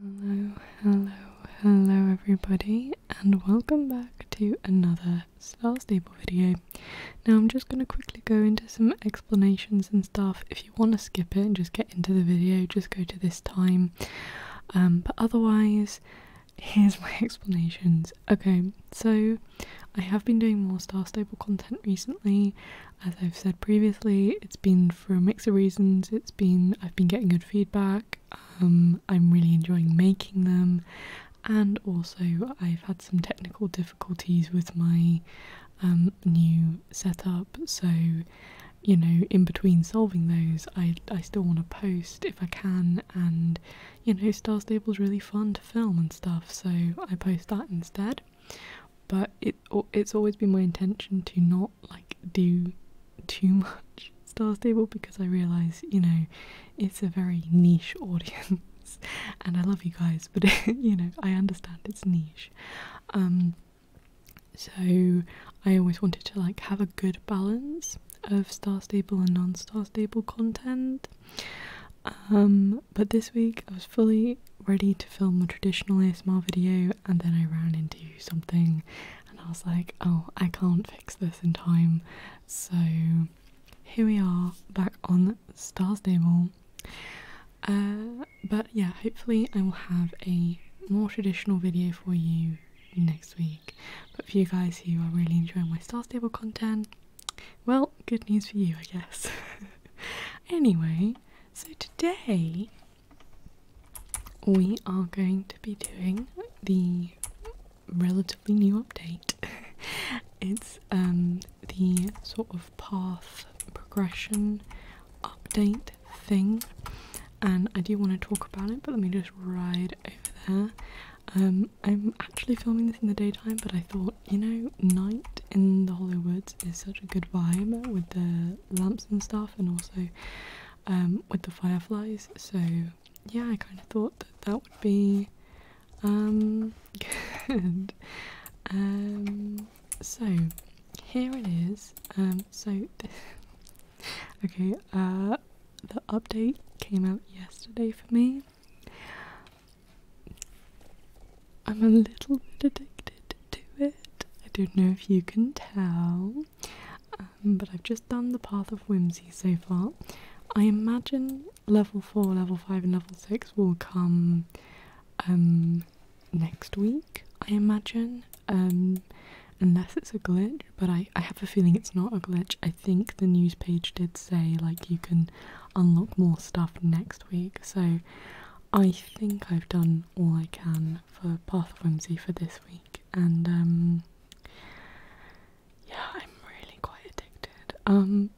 Hello, hello, hello everybody and welcome back to another Star Stable video. Now I'm just going to quickly go into some explanations and stuff. If you want to skip it and just get into the video, just go to this time. Um, but otherwise, here's my explanations. Okay, so I have been doing more Star Stable content recently. As I've said previously, it's been for a mix of reasons. It's been I've been getting good feedback. Um, I'm really enjoying making them, and also I've had some technical difficulties with my um, new setup. So, you know, in between solving those, I I still want to post if I can, and you know, Star Stable's really fun to film and stuff. So I post that instead. But it it's always been my intention to not like do too much Star Stable because I realise, you know, it's a very niche audience and I love you guys, but you know, I understand it's niche. Um so I always wanted to like have a good balance of Star Stable and non-Star Stable content. Um but this week I was fully ready to film a traditional ASMR video and then I ran into something and I was like, oh, I can't fix this in time. So here we are back on Star Stable. Uh, but yeah, hopefully I will have a more traditional video for you next week. But for you guys who are really enjoying my Star Stable content, well, good news for you, I guess. anyway, so today we are going to be doing the relatively new update. it's um, the sort of path progression update thing, and I do want to talk about it, but let me just ride over there. Um, I'm actually filming this in the daytime, but I thought, you know, night in the Hollow is such a good vibe with the lamps and stuff, and also um, with the fireflies. So yeah, I kind of thought that that would be um, good. Um, so here it is. Um, so okay, uh, the update came out yesterday for me. I'm a little bit addicted to it. I don't know if you can tell. Um, but I've just done the Path of Whimsy so far. I imagine level 4, level 5, and level 6 will come um, next week, I imagine. Um, unless it's a glitch, but I, I have a feeling it's not a glitch. I think the news page did say like you can unlock more stuff next week, so I think I've done all I can for Path of Whimsy for this week and um, yeah, I'm really quite addicted. Um,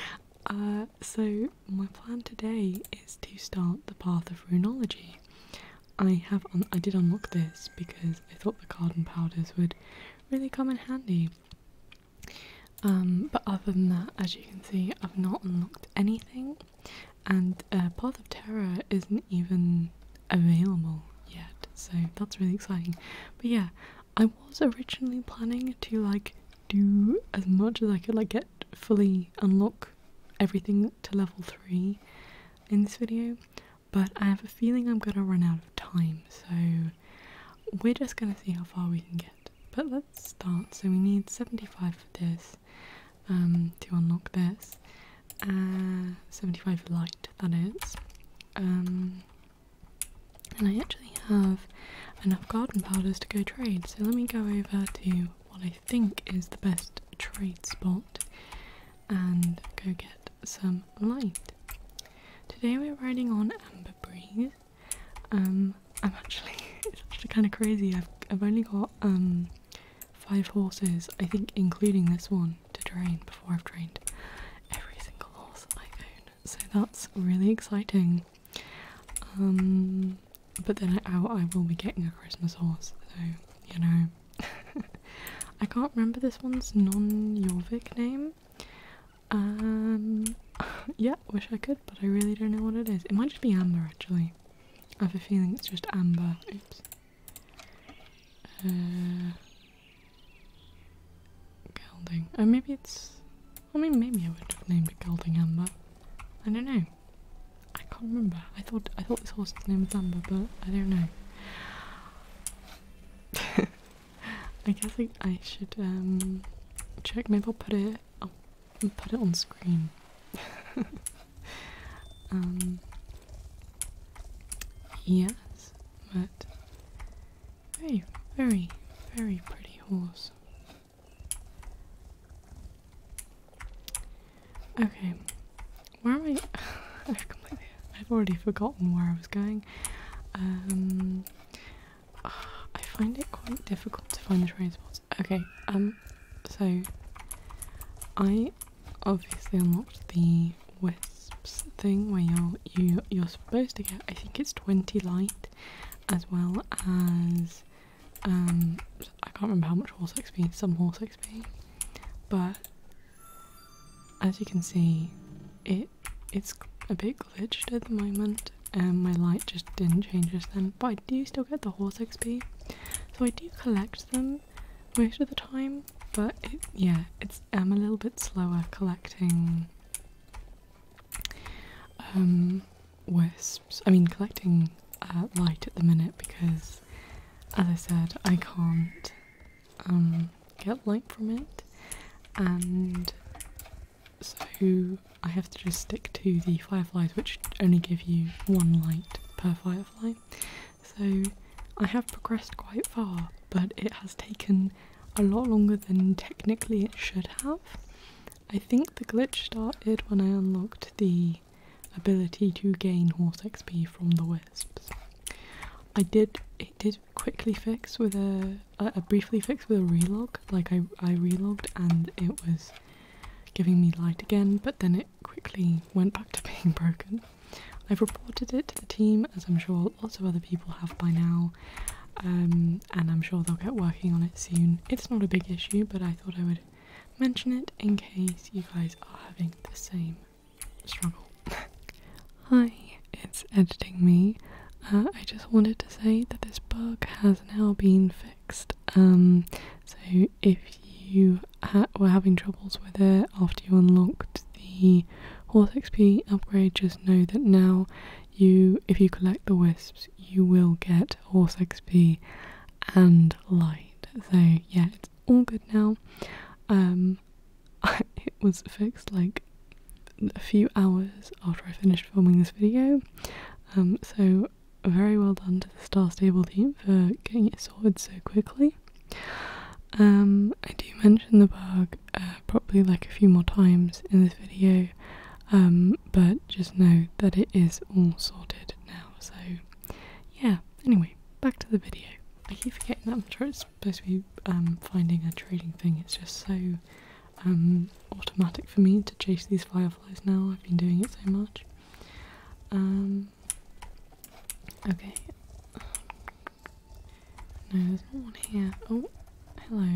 uh, so my plan today is to start the path of runology. I have un I did unlock this because I thought the card and powders would really come in handy. Um, but other than that, as you can see, I've not unlocked anything and uh, Path of Terror isn't even available yet, so that's really exciting. But yeah, I was originally planning to like do as much as I could, like get fully unlock everything to level 3 in this video, but I have a feeling I'm gonna run out of time, so we're just gonna see how far we can get. But let's start. So we need 75 for this, um, to unlock this. Uh, 75 light, that is. Um, and I actually have enough garden powders to go trade, so let me go over to what I think is the best trade spot and go get some light. Today we're riding on Amber Breeze. Um, I'm actually, actually kind of crazy. I've, I've only got um, five horses, I think, including this one, to train before I've trained every single horse I own. So that's really exciting. Um, but then I, will be getting a Christmas horse, so you know. I can't remember this one's non yorvik name. Um, yeah, wish I could, but I really don't know what it is. It might just be Amber, actually. I have a feeling it's just amber. Oops. Uh, Oh, maybe it's. I mean, maybe I would have named it Golding amber. I don't know. I can't remember. I thought I thought this horse was named Amber, but I don't know. I guess I, should um, check. Maybe I'll put it. i oh, put it on screen. Um, yes, but very, very, very pretty horse. Okay, where am I? I've completely, I've already forgotten where I was going. Um, I find it quite difficult to find the transport. Okay, um, so I obviously unlocked the wisps thing where you're you are you are supposed to get I think it's twenty light as well as um I can't remember how much horse XP, some horse XP. But as you can see it it's a bit glitched at the moment and my light just didn't change just then but I do still get the horse XP. So I do collect them most of the time, but yeah, it's I'm a little bit slower collecting um, wisps. I mean, collecting uh, light at the minute because, as I said, I can't um, get light from it, and so I have to just stick to the fireflies, which only give you one light per firefly. So I have progressed quite far, but it has taken a lot longer than technically it should have. I think the glitch started when I unlocked the ability to gain horse XP from the wisps. I did it did quickly fix with a, briefly fix with a relog. Like I I relogged and it was giving me light again, but then it quickly went back to being broken. I've reported it to the team, as I'm sure lots of other people have by now, um, and I'm sure they'll get working on it soon. It's not a big issue, but I thought I would mention it in case you guys are having the same struggle. Hi, it's editing me. Uh, I just wanted to say that this bug has now been fixed. Um, so if you were having troubles with it after you unlocked the horse XP upgrade, just know that now you, if you collect the wisps, you will get horse XP and light. So yeah, it's all good now. Um, it was fixed like a few hours after I finished filming this video. Um, so very well done to the Star Stable team for getting it sorted so quickly. Um, I do mention the bug uh, probably like a few more times in this video, um, but just know that it is all sorted now. So, yeah. Anyway, back to the video. I keep forgetting that I'm sure it's supposed to be um, finding a trading thing. It's just so automatic for me to chase these fireflies now. I've been doing it so much. Okay. No, there's not one here. Oh, hello.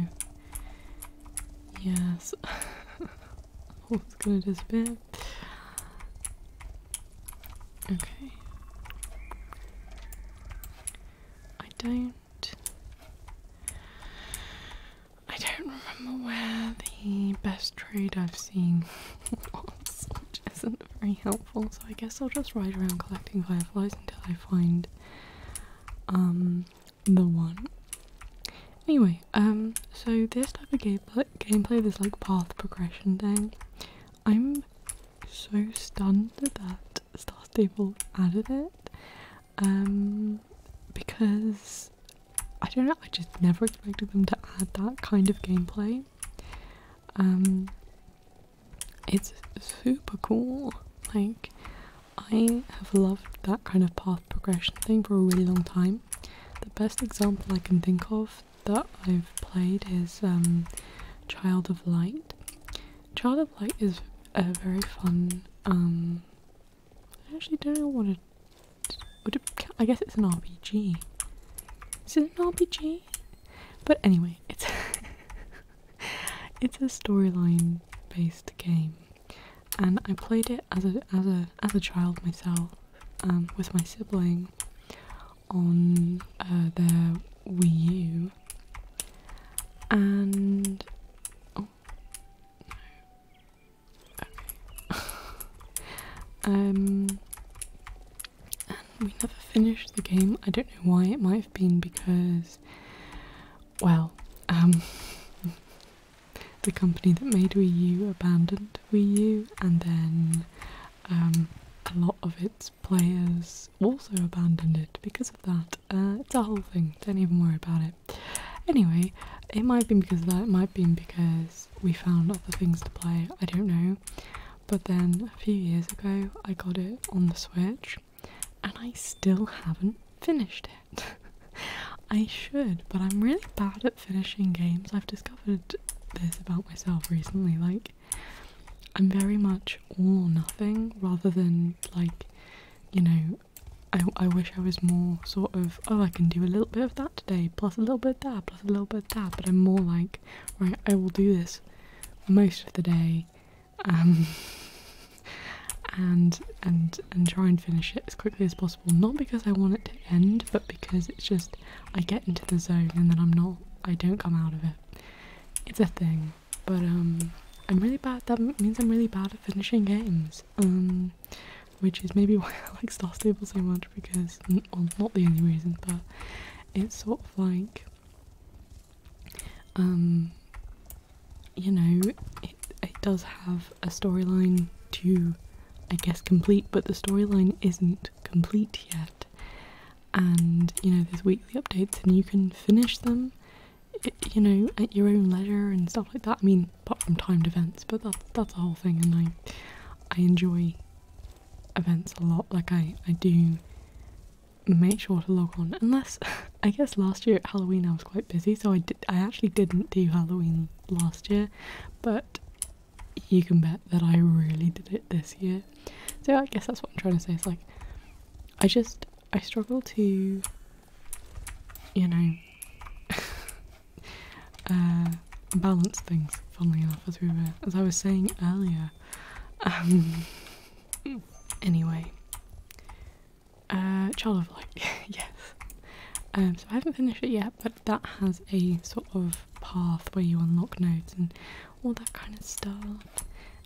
Yes. oh, it's gonna disappear. Okay. I don't. I don't remember where the best trade I've seen which oh, isn't very helpful. So I guess I'll just ride around collecting fireflies until I find um the one. Anyway, um, so this type of gameplay, gameplay, this like path progression thing, I'm so stunned that Star Stable added it, um, because I don't know, I just never expected them to add that kind of gameplay. Um, it's super cool. Like, I have loved that kind of path progression thing for a really long time. The best example I can think of that I've played is um, Child of Light. Child of Light is a very fun. Um, I actually don't want to. I guess it's an RPG. Is it an RPG? But anyway, it's it's a storyline based game, and I played it as a as a as a child myself, um, with my sibling, on uh, their Wii U, and oh, um, we never finished the game. I don't know why. It might have been because, well, um, the company that made Wii U abandoned Wii U, and then um, a lot of its players also abandoned it because of that. Uh, it's a whole thing. Don't even worry about it. Anyway, it might have been because of that. It might have been because we found other things to play, I don't know. But then a few years ago, I got it on the Switch and I still haven't finished it. I should, but I'm really bad at finishing games. I've discovered this about myself recently. Like, I'm very much all or nothing rather than like, you know, I, I wish I was more sort of, oh, I can do a little bit of that today, plus a little bit of that, a little bit of that, but I'm more like, right, I will do this most of the day, um, and and and try and finish it as quickly as possible. Not because I want it to end, but because it's just I get into the zone and then I'm not, I don't come out of it. It's a thing, but um, I'm really bad. That means I'm really bad at finishing games. Um, which is maybe why I like Star Stable so much because, not the only reason, but it's sort of like, um, you know, it does have a storyline to, I guess, complete, but the storyline isn't complete yet. And you know, there's weekly updates, and you can finish them, you know, at your own leisure and stuff like that. I mean, apart from timed events, but that's that's a whole thing, and I I enjoy events a lot. Like I, I do make sure to log on. Unless I guess last year at Halloween I was quite busy, so I did I actually didn't do Halloween last year, but you can bet that I really did it this year. So I guess that's what I'm trying to say. It's like I just I struggle to you know Uh, balance things, funnily enough, as we were, as I was saying earlier. Um, anyway, uh, Child of Light, yes. Um, so I haven't finished it yet, but that has a sort of path where you unlock notes and all that kind of stuff.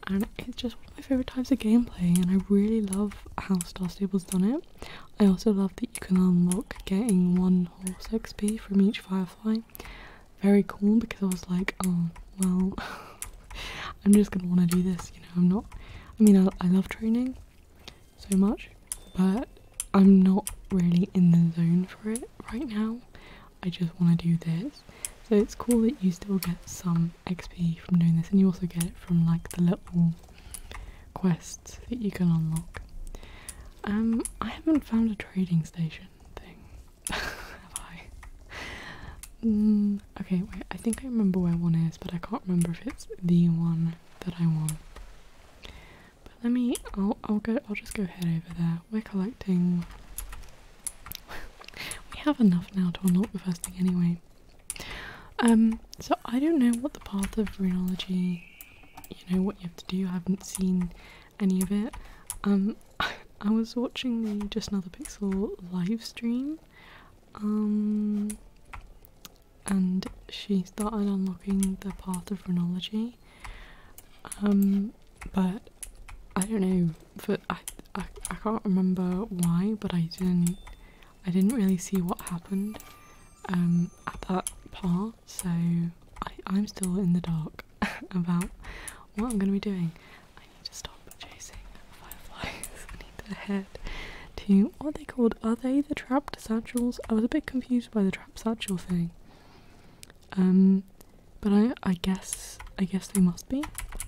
And it's just one of my favourite types of gameplay, and I really love how Star Stable's done it. I also love that you can unlock getting one horse XP from each firefly. Very cool because I was like, oh, well, I'm just gonna want to do this, you know. I'm not, I mean, I, I love training so much, but I'm not really in the zone for it right now. I just want to do this. So it's cool that you still get some XP from doing this, and you also get it from like the little quests that you can unlock. Um, I haven't found a trading station thing. Have I? Mm, okay, wait, I think I remember where one is, but I can't remember if it's the one that I want. But let me I'll I'll go I'll just go head over there. We're collecting we have enough now to unlock the first thing anyway. Um, so I don't know what the path of phrenology you know what you have to do. I haven't seen any of it. Um, I was watching the Just Another Pixel live stream, um, and she started unlocking the path of phrenology. Um, but I don't know. But I, I, I can't remember why, but I didn't. I didn't really see what happened at um, that part, so I, am still in the dark about what I'm going to be doing. I need to stop chasing fireflies. I need to head to what they called? Are they the trapped satchels? I was a bit confused by the trap satchel thing. Um, but I I guess I guess they must be.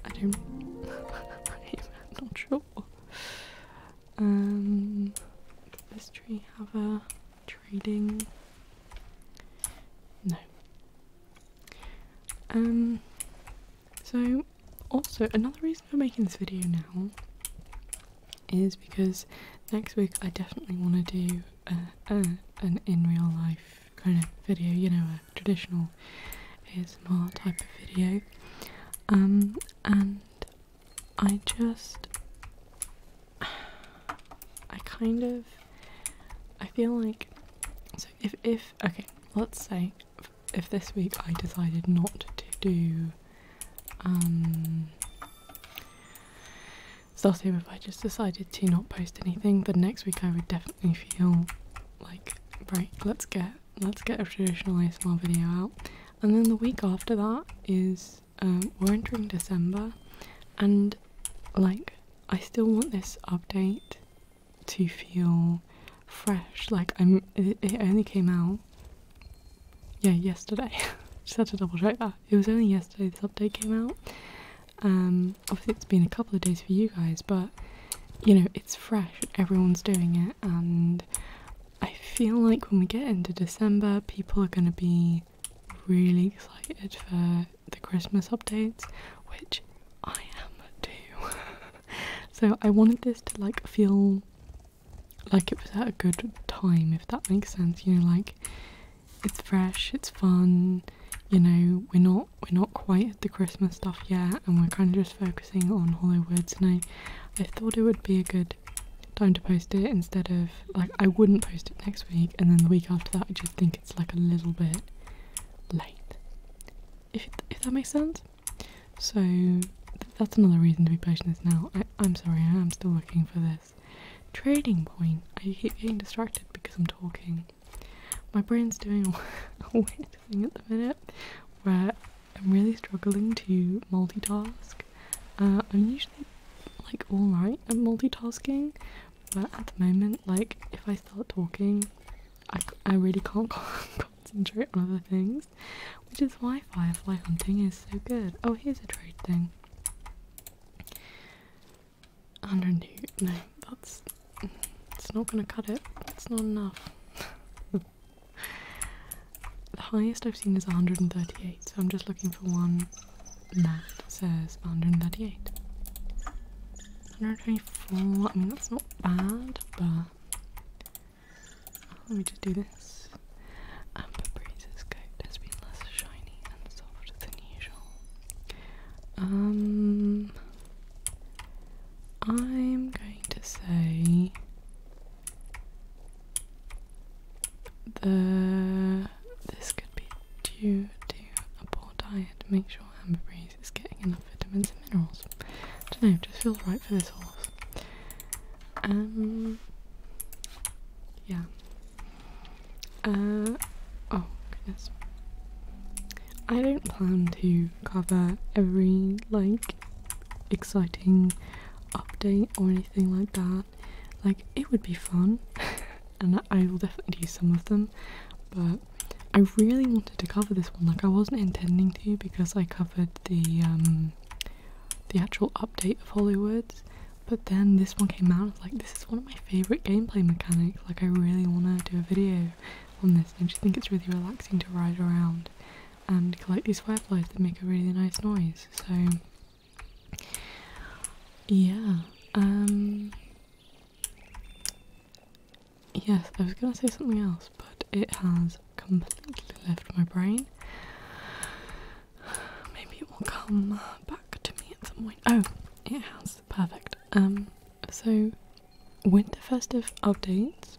I don't. I'm not sure. Um, does this tree have a trading. No. Um, so also another reason for making this video now is because next week I definitely want to do a, an in real life kind of video, you know, a traditional ASMR type of video. Um, and I just I kind of I feel like so if if okay, let's say if this week I decided not to do um starting if I just decided to not post anything, then next week I would definitely feel like right, let's get let's get a traditional ASMR video out. And then the week after that is um, we're entering December, and like I still want this update to feel fresh. Like I'm, it, it only came out yeah yesterday. Just had to double check that. It was only yesterday this update came out. Um, obviously it's been a couple of days for you guys, but you know it's fresh. Everyone's doing it, and I feel like when we get into December, people are gonna be really, excited for the Christmas updates, which I am too. so I wanted this to like feel like it was at a good time, if that makes sense. You know, like it's fresh, it's fun. You know, we're not we're not quite at the Christmas stuff yet, and we're kind of just focusing on Hollywood. words. I thought it would be a good time to post it instead of like I wouldn't post it next week and then the week after that I just think it's like a little bit late if, if that makes sense so that's another reason to be patient. Is now I, am sorry I am still looking for this trading point I keep getting distracted because I'm talking my brain's doing a weird thing at the minute where I'm really struggling to multitask uh, I'm usually like alright at multitasking, but at the moment, like if I start talking, I, I really can't concentrate on other things, which is why firefly hunting is so good. Oh, here's a trade thing. 102. No, that's it's not gonna cut it. It's not enough. the highest I've seen is 138, so I'm just looking for one that says 138. 124, I mean that's not bad, but oh, let me just do this. Amber Breeze's coat has been less shiny and soft than usual. Um, I'm going to say the this could be due to a poor diet. Make sure Amberbreeze is getting enough vitamins and minerals. I don't know, just feels right for this horse. Um, yeah. Uh, oh goodness. I don't plan to cover every like exciting update or anything like that. Like, it would be fun, and I will definitely do some of them, but I really wanted to cover this one. Like, I wasn't intending to because I covered the, um, the actual update of Hollywoods, but then this one came out. like, this is one of my favorite gameplay mechanics. Like, I really want to do a video on this. I just think it's really relaxing to ride around and collect these fireflies that make a really nice noise. So yeah. Um, yes, I was gonna say something else, but it has completely left my brain. Maybe it will come uh, back to me at some point. Oh, it has. Perfect. Um, so, winter festive updates.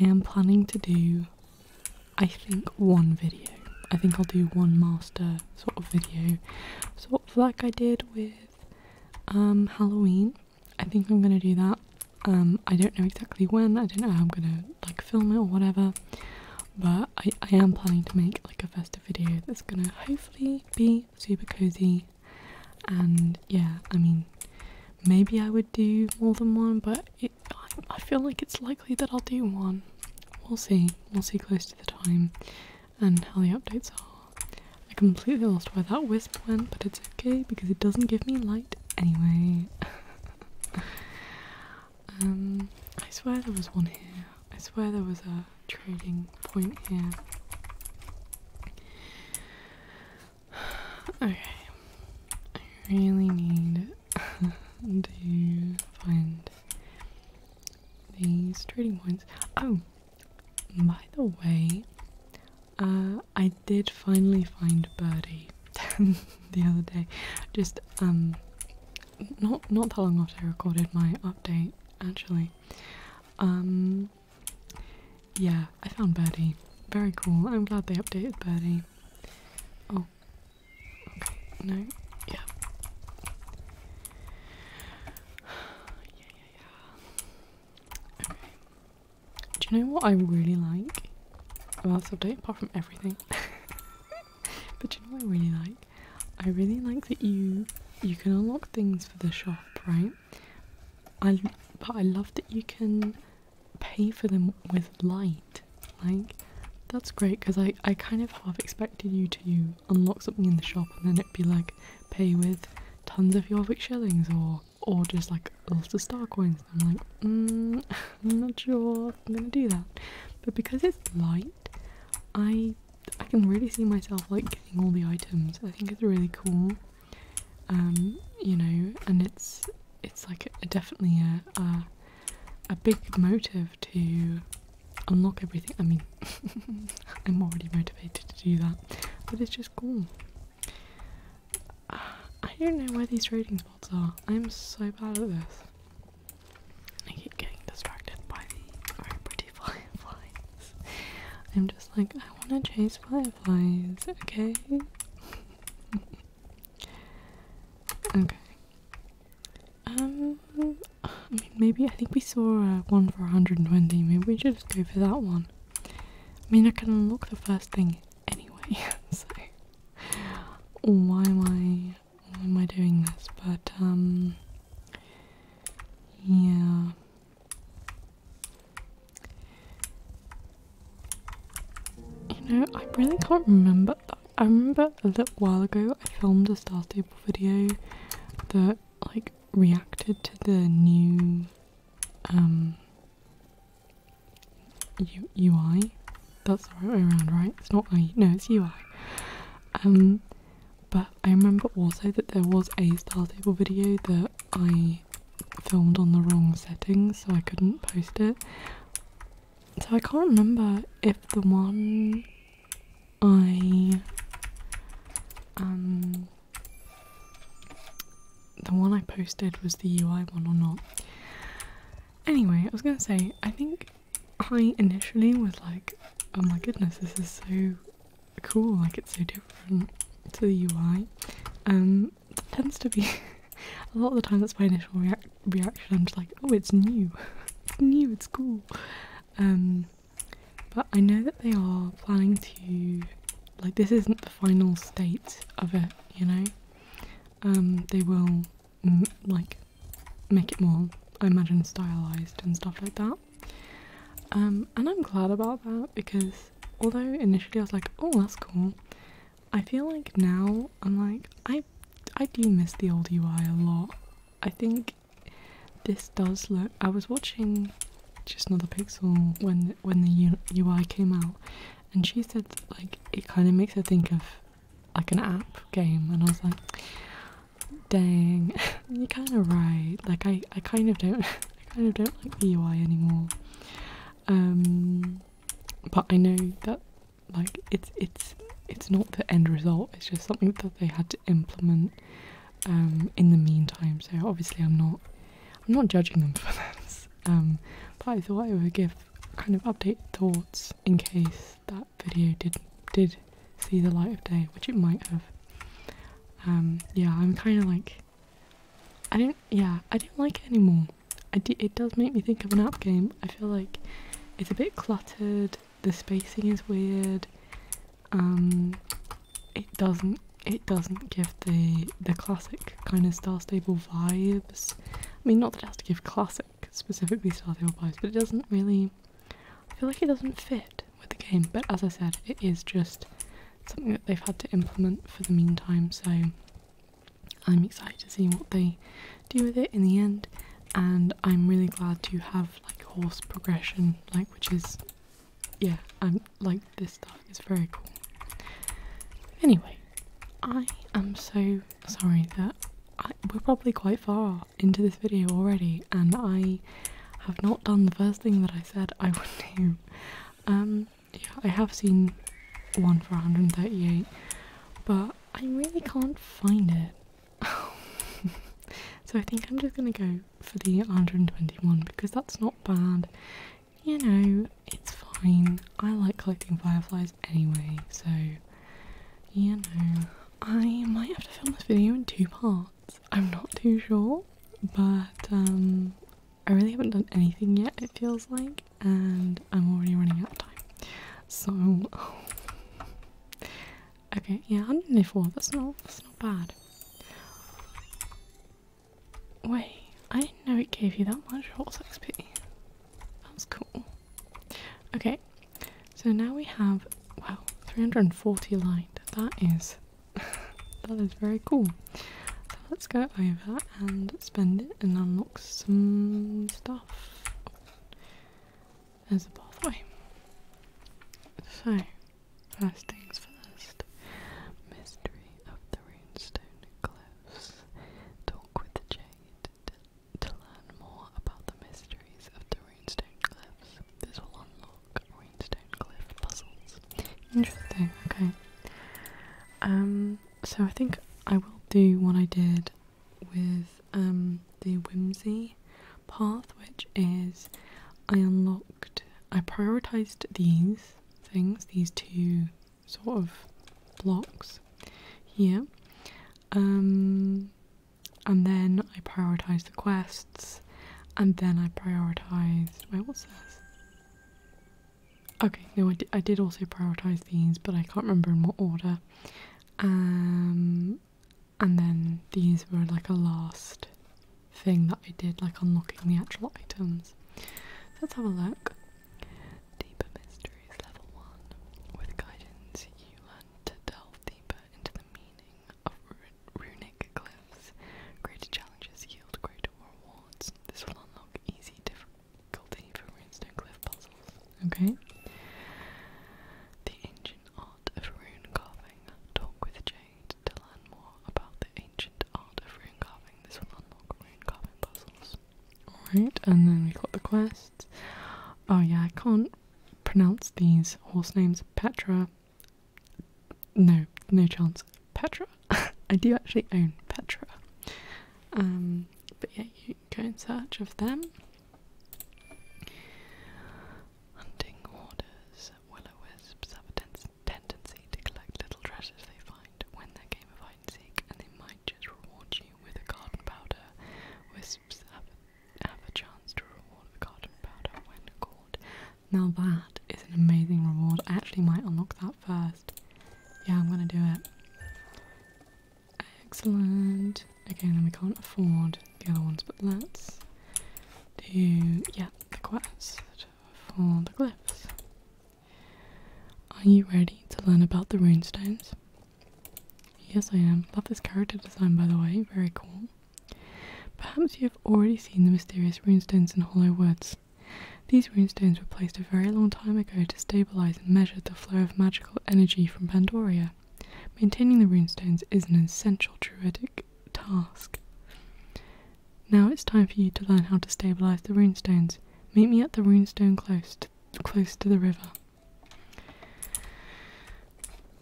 I am planning to do. I think one video. I think I'll do one master sort of video, sort of like I did with um, Halloween. I think I'm gonna do that. Um, I don't know exactly when. I don't know how I'm gonna like film it or whatever. But I, I am planning to make like a festive video that's gonna hopefully be super cozy. And yeah, I mean, maybe I would do more than one, but I, I feel like it's likely that I'll do one. We'll see. We'll see close to the time and how the updates are. I completely lost where that wisp went, but it's okay because it doesn't give me light anyway. um, I swear there was one here. I swear there was a trading point here. Okay, I really need to find these trading points. Oh, by the way, uh, I did finally find Birdie the other day. Just um, not not that long after I recorded my update, actually. Um, yeah, I found Birdie. Very cool. I'm glad they updated Birdie. Oh, do you know what I really like about this update, apart from everything? but do you know what I really like? I really like that you you can unlock things for the shop, right? I but I love that you can pay for them with light. Like that's great because I, I kind of half expected you to unlock something in the shop and then it'd be like pay with tons of Jorvik shillings or or just like lots of star coins. I'm like, mm, I'm not sure I'm gonna do that. But because it's light, I I can really see myself like getting all the items. I think it's really cool. Um, you know, and it's it's like a, definitely a a big motive to unlock everything. I mean, I'm already motivated to do that, but it's just cool. I don't know where these trading spots are. I'm so bad at this. I keep getting distracted by the very pretty fireflies. I'm just like, I want to chase fireflies, okay? okay. Um, I mean, maybe I think we saw uh, one for 120. Maybe we should just go for that one. I mean, I can unlock the first thing anyway, so why am I am I doing this? But um, yeah. You know, I really can't remember. I remember a little while ago I filmed a Star Stable video that like reacted to the new um UI. That's the right way around, right? It's not I no it's UI. Um but I remember also that there was a Star Stable video that I filmed on the wrong settings so I couldn't post it. So I can't remember if the one I um the one I posted was the UI one or not. Anyway, I was gonna say I think I initially was like, oh my goodness, this is so cool, like it's so different to the UI. Um tends to be a lot of the time that's my initial reac reaction. I'm just like, oh it's new. it's new, it's cool. Um but I know that they are planning to, like, this isn't the final state of it, you know? Um, they will, like, make it more, I imagine, stylized and stuff like that. Um, and I'm glad about that because although initially I was like, oh, that's cool, I feel like now I'm like, I, I do miss the old UI a lot. I think this does look. I was watching just another pixel when when the UI came out, and she said like it kind of makes her think of like an app game, and I was like, dang, you're kind of right. Like I I kind of don't I kind of don't like the UI anymore. Um, but I know that like it's it's it's not the end result. It's just something that they had to implement um, in the meantime. So obviously, I'm not I'm not judging them for that. Um, but I thought I would give kind of update thoughts in case that video did did see the light of day, which it might have. Um, yeah, I'm kind of like I don't. Yeah, I don't like it anymore. it does make me think of an app game. I feel like it's a bit cluttered the spacing is weird. Um, it doesn't it doesn't give the the classic kind of Star Stable vibes. I mean, not that it has to give classic specifically Star Stable vibes, but it doesn't really. I feel like it doesn't fit with the game. But as I said, it is just something that they've had to implement for the meantime. So I'm excited to see what they do with it in the end, and I'm really glad to have like horse progression, like which is yeah, I'm um, like this stuff is very cool. Anyway, I am so sorry that we're probably quite far into this video already, and I have not done the first thing that I said I would do. Um, yeah, I have seen one for 138, but I really can't find it. so I think I'm just gonna go for the 121 because that's not bad. You know, it's fine. I like collecting fireflies anyway, so you know. I might have to film this video in two parts. I'm not too sure, but um I really haven't done anything yet it feels like and I'm already running out of time. So Okay, yeah, 104. That's not that's not bad. Wait, I didn't know it gave you that much horse XP. That cool. Okay, so now we have wow, 340 light. That is that is very cool. So let's go over and spend it and unlock some stuff as a pathway. So, first things first, mystery of the runestone cliffs. Talk with Jade to, learn more about the mysteries of the runestone cliffs. This will unlock runestone cliff puzzles. Interesting. Okay. Um. So I think I will do what I did with um the whimsy path, which is I unlocked, I prioritized these things, these two sort of blocks here, um, and then I prioritized the quests, and then I prioritized. Wait, what's says? Okay, no, I I did also prioritize these, but I can't remember in what order. Um, and then these were like a last thing that I did, like unlocking the actual items. let's have a look. Deeper Mysteries Level 1. With guidance, you learn to delve deeper into the meaning of runic glyphs. Greater challenges yield greater rewards. This will unlock easy difficulty for runestone glyph puzzles. Okay. The ancient Art of Rune Carving. Talk with Jade to learn more about the ancient art of rune carving. This will unlock rune carving puzzles. Alright, and then we got the quests. Oh yeah, I can't pronounce these horse names. Petra. No, no chance. Petra. I do actually own Petra. Um, but yeah, you go in search of them. Hunting hoarders, will wisps have a tendency to collect little treasures they find when their game of hide and seek, and they might just reward you with a garden powder. Wisps have a, chance to reward the garden powder when caught. Now that is an amazing reward. I actually might unlock that first. Yeah, I'm gonna do it. Excellent. Okay, then we can't afford the other ones, but let's do, yeah, the quest for the glyphs. Are you ready to learn about the runestones? Yes, I am. Love this character design, by the way. Very cool. Perhaps you have already seen the mysterious runestones in Hollow Woods. These runestones were placed a very long time ago to stabilize and measure the flow of magical energy from Pandoria. Maintaining the runestones is an essential druidic task. Now it's time for you to learn how to stabilize the runestones. Meet me at the runestone close to, close to the river.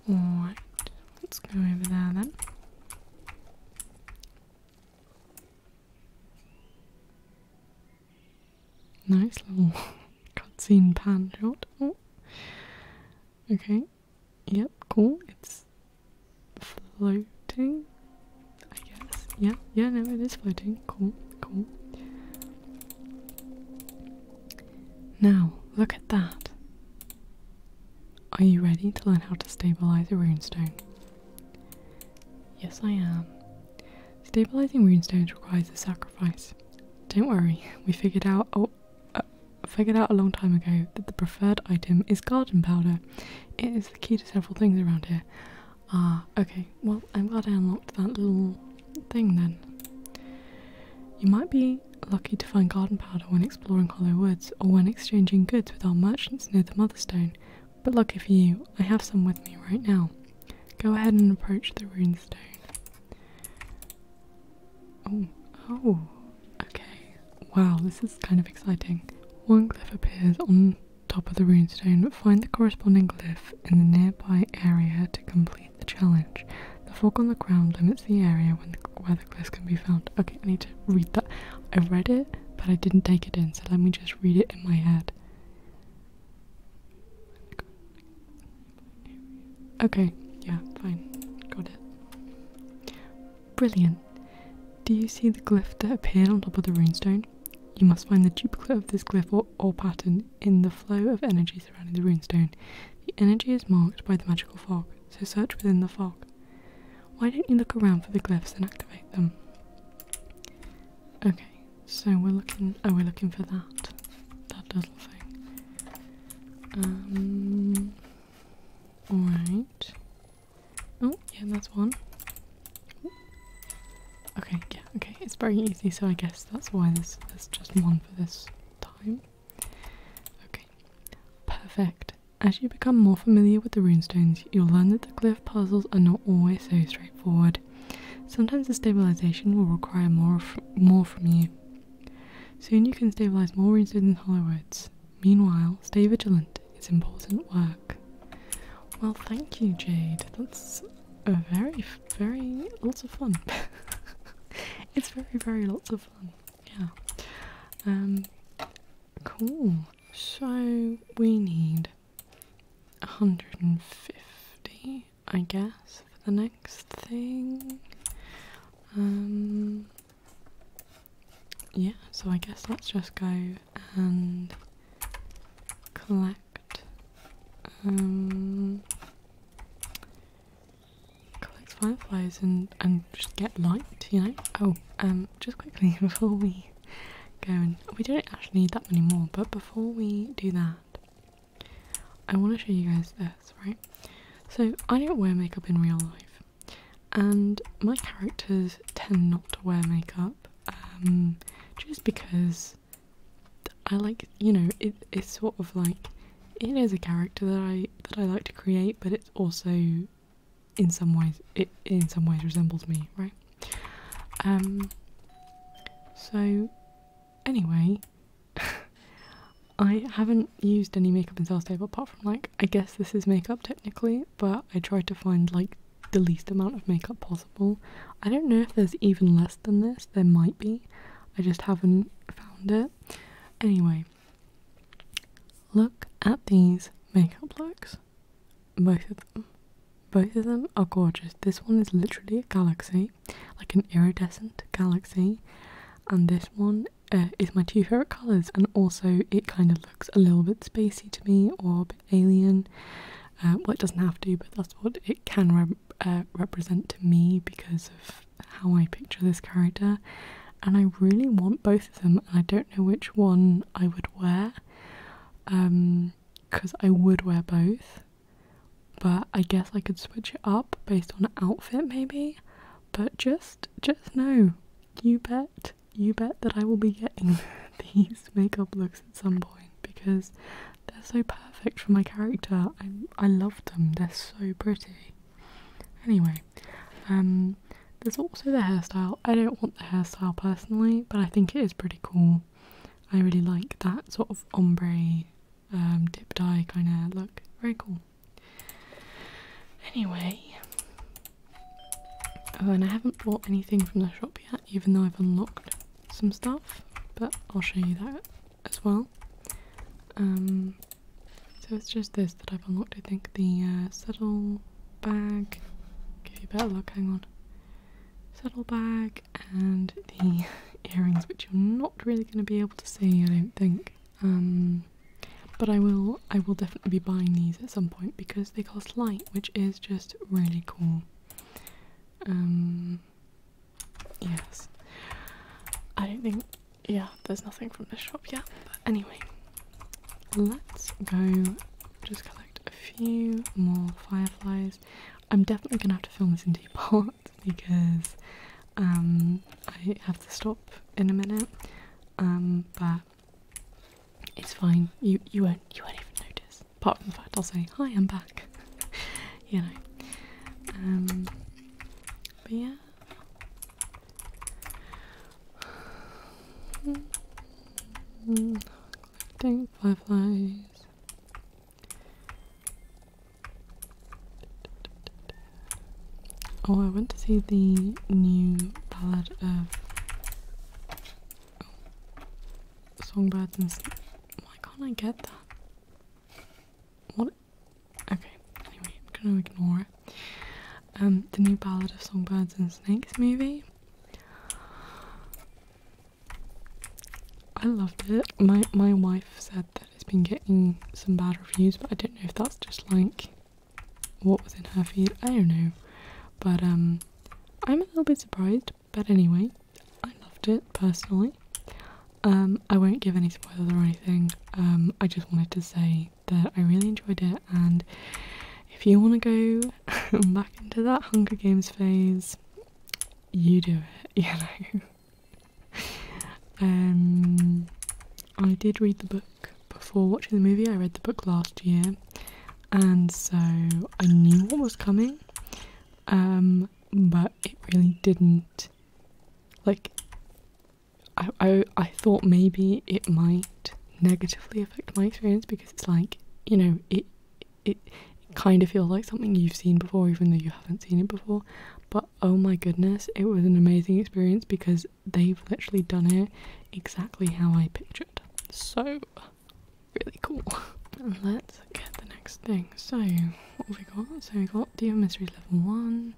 Alright, let's go over there then. Nice little cutscene pan shot. Oh. Okay, yep, cool. It's floating, I guess. Yeah, yeah, no, it is floating. Cool, cool. Now, look at that. Are you ready to learn how to stabilize a rune stone? Yes, I am. Stabilizing rune stones requires a sacrifice. Don't worry, we figured out. Oh, I figured out a long time ago that the preferred item is garden powder. It is the key to several things around here. Ah, okay. Well, I'm glad I unlocked that little thing then. You might be lucky to find garden powder when exploring Hollow Woods or when exchanging goods with our merchants near the Motherstone, but lucky for you, I have some with me right now. Go ahead and approach the stone. Oh, oh, okay. Wow, this is kind of exciting. One glyph appears on top of the runestone. Find the corresponding glyph in the nearby area to complete the challenge. The fog on the ground limits the area where the glyphs can be found. Okay, I need to read that. I read it, but I didn't take it in, so let me just read it in my head. Okay, yeah, fine. Got it. Brilliant. Do you see the glyph that appeared on top of the runestone? You must find the duplicate of this glyph or, pattern in the flow of energy surrounding the runestone. The energy is marked by the magical fog, so search within the fog. Why don't you look around for the glyphs and activate them? Okay, so we're looking. Oh, we're looking for that. That little thing. Um, Alright. Oh, yeah, that's one. Okay, yeah, okay. It's very easy, so I guess that's why there's, there's just one for this time. Okay, perfect. As you become more familiar with the runestones, you'll learn that the cliff puzzles are not always so straightforward. Sometimes the stabilization will require more, more from you. Soon you can stabilize more runestones and hollowwoods. Meanwhile, stay vigilant. It's important work. Well, thank you, Jade. That's very, very lots of fun. it's very, very lots of fun. Yeah. Um. Cool. So we need 150, I guess, for the next thing. Um yeah, so I guess let's just go and collect um collect fireflies and and just get light, you know. Oh, um just quickly before we go and we don't actually need that many more, but before we do that I want to show you guys this, right? So I don't wear makeup in real life and my characters tend not to wear makeup um, just because I like you know it's sort of like it is a character that I that I like to create but it's also in some ways it in some ways resembles me right um so anyway I haven't used any makeup in Sales Table apart from like, I guess this is makeup technically, but I try to find like the least amount of makeup possible. I don't know if there's even less than this, there might be, I just haven't found it. Anyway, look at these makeup looks, both of them. Both of them are gorgeous. This one is literally a galaxy, like an iridescent galaxy, and this one uh, is my two favorite colors, and also it kind of looks a little bit spacey to me or a bit alien. Uh, well, it doesn't have to, but that's what it can uh, represent to me because of how I picture this character. And I really want both of them, and I don't know which one I would wear because um, I would wear both. But I guess I could switch it up based on outfit, maybe. But just just know, you bet, you bet that I will be getting these makeup looks at some point because they're so perfect for my character. I I love them. They're so pretty. Anyway, um there's also the hairstyle. I don't want the hairstyle personally, but I think it is pretty cool. I really like that sort of ombre um, dip dye kind of look. Very cool. Anyway. Oh, and I haven't bought anything from the shop yet, even though I've unlocked some stuff, but I'll show you that as well. Um, so it's just this that I've unlocked, I think, the uh, saddle bag, give you better luck, hang on, saddle bag and the earrings, which you're not really going to be able to see, I don't think. Um, but I will I will definitely be buying these at some point because they cost light, which is just really cool. Um, yes. I don't think yeah, there's nothing from this shop yet. But anyway, let's go just collect a few more fireflies. I'm definitely gonna have to film this in two parts because um, I have to stop in a minute um, but it's fine. You you won't you won't even notice. Apart from the fact I'll say hi, I'm back. you know. Um, but yeah. Collecting fireflies. Oh, I went to see the new ballad of oh, songbirds and. Why can't I get that? What? Okay. Anyway, I'm gonna ignore it. Um, the new ballad of songbirds and snakes movie. I loved it. My my wife said that it's been getting some bad reviews, but I don't know if that's just like what was in her feed? I don't know. But um I'm a little bit surprised, but anyway, I loved it personally. Um I won't give any spoilers or anything. Um I just wanted to say that I really enjoyed it and if you want to go back into that Hunger Games phase, you do it, you know. Um, I did read the book before watching the movie. I read the book last year, and so I knew what was coming, um, but it really didn't. Like, I, I, I thought maybe it might negatively affect my experience because it's like you know it it, it kind of feels like something you've seen before even though you haven't seen it before but oh my goodness it was an amazing experience because they've literally done it exactly how I pictured. So really cool. Let's get the next thing. So what have we got? So we got Dear Mystery level one,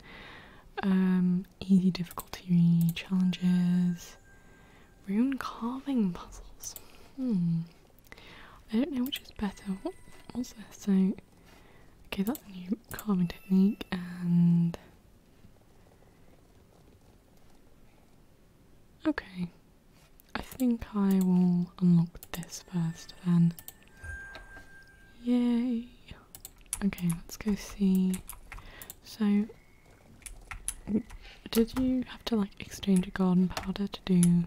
um, easy difficulty challenges, rune carving puzzles. Hmm. I don't know which is better. What was this? So okay, that's new carving technique and Okay, I think I will unlock this first then. Yay! Okay, let's go see. So, did you have to like exchange a garden powder to do.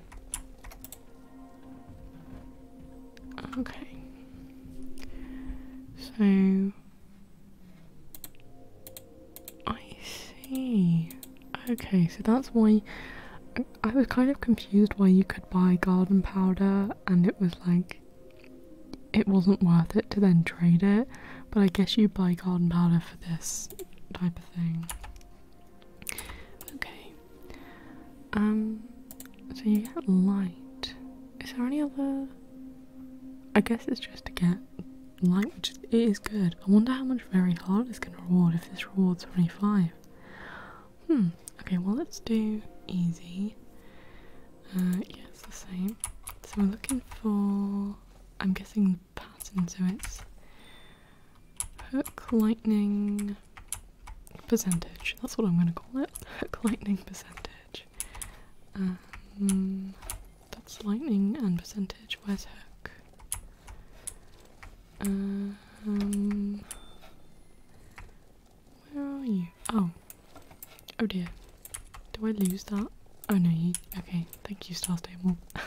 Okay. So, I see. Okay, so that's why I was kind of confused why you could buy garden powder and it was like it wasn't worth it to then trade it, but I guess you buy garden powder for this type of thing. Okay. Um so you get light. Is there any other? I guess it's just to get light, it is good. I wonder how much very hard is going to reward if this rewards 25. Hmm. Okay. Well, let's do easy. Uh, yeah, it's the same. So we're looking for. I'm guessing the pattern. So it's hook lightning percentage. That's what I'm going to call it. Hook lightning percentage. Um, that's lightning and percentage. Where's hook? Um, where are you? Oh, oh dear. Do I lose that? Oh no, you. Okay, thank you, Star Stable. I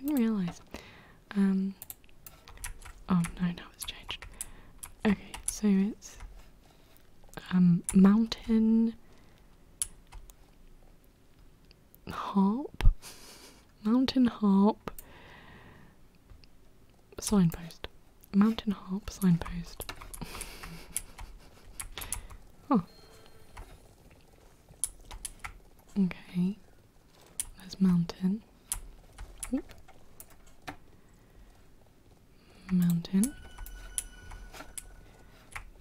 didn't realize. Um. Oh no, now it's changed. Okay, so it's um, mountain harp, mountain harp signpost, mountain harp signpost. oh, okay. There's mountain mountain.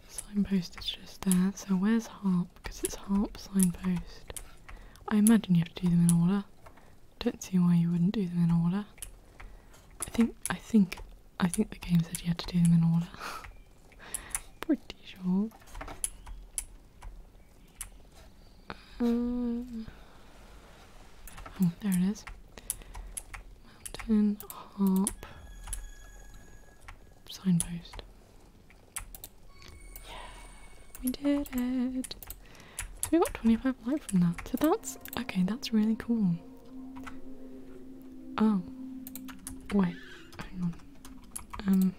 Signpost is just there. So where's harp? Because it's harp signpost. I imagine you have to do them in order. Don't see why you wouldn't do them in order. I think I think I think the game said you had to do them in order. Pretty sure. Um, oh, there it is. Mountain harp signpost. Yeah, we did it. So we got 25 light from that. So that's okay, that's really cool. Oh, wait, hang on. Um,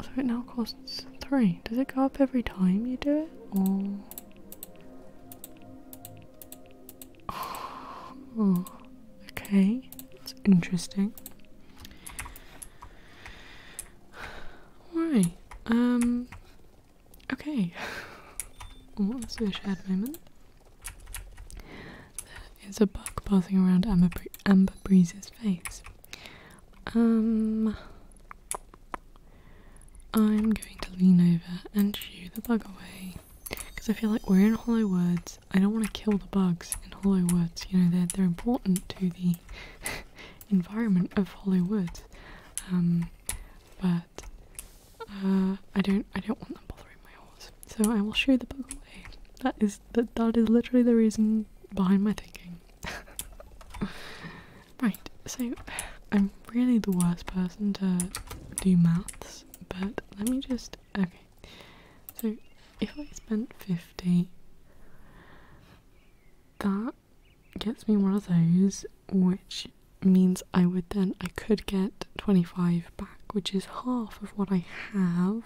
so it now costs three. Does it go up every time you do it, or Oh, okay, that's interesting. Alright, um, okay. What was a shared moment? There is a bug passing around Amber, Bre Amber Breeze's face. Um, I'm going to lean over and shoo the bug away because I feel like we're in Hollow Woods. I don't want to kill the bugs in Hollow Woods. You know they're they're important to the environment of Hollow Woods, um, but uh, I don't I don't want them bothering my horse. So I will shoo the bug away. That is that that is literally the reason behind my thinking. Right, so I'm really the worst person to do maths, but let me just. Okay, so if I spent 50, that gets me one of those, which means I would then. I could get 25 back, which is half of what I have,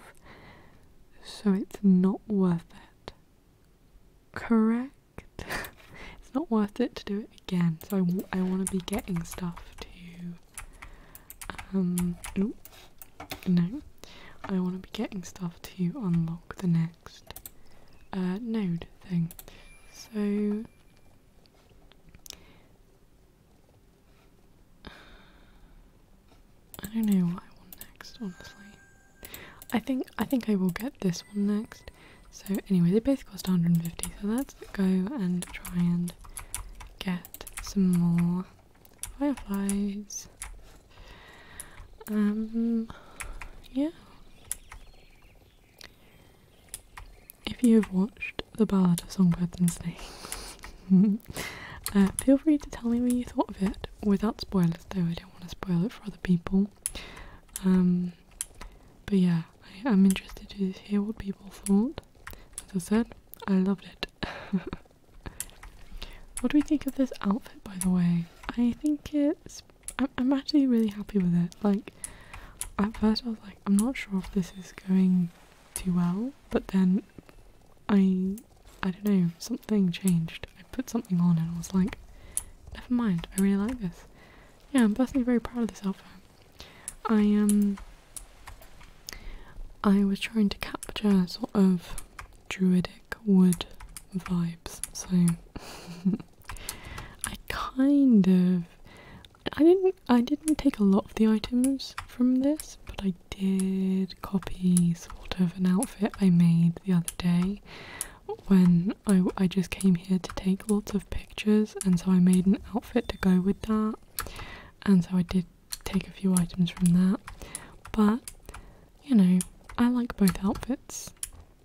so it's not worth it. Correct? it's not worth it to do it again. So I, I want to be getting stuff to. Um. no. I want to be getting stuff to unlock the next uh, node thing. So. I don't know what I want next, honestly. I think I think I will get this one next so anyway, they both cost 150. So let's go and try and get some more fireflies. Um, yeah. If you have watched The Ballad of Songbirds and Snakes, uh, feel free to tell me what you thought of it without spoilers though, I don't want to spoil it for other people. Um, but yeah, I am interested to hear what people thought. As I said, I loved it. what do we think of this outfit, by the way? I think it's. I'm, I'm actually really happy with it. Like, at first I was like, I'm not sure if this is going too well, but then I. I don't know, something changed. I put something on and I was like, never mind, I really like this. Yeah, I'm personally very proud of this outfit. I um I was trying to capture sort of druidic wood vibes, so I kind of I didn't I didn't take a lot of the items from this, but I did copy sort of an outfit I made the other day when I, I just came here to take lots of pictures and so I made an outfit to go with that and so I did take a few items from that but you know I like both outfits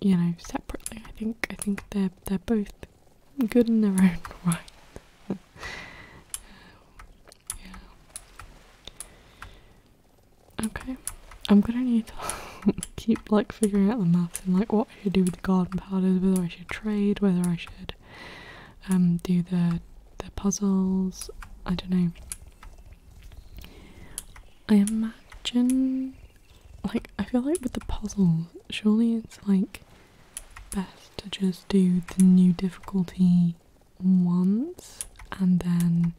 you know separately I think I think they're they're both good in their own right yeah okay I'm gonna need to keep like figuring out the maths and like what should do with the garden powders, whether I should trade, whether I should um, do the the puzzles. I don't know. I imagine, like, I feel like with the puzzles, surely it's like best to just do the new difficulty ones and then.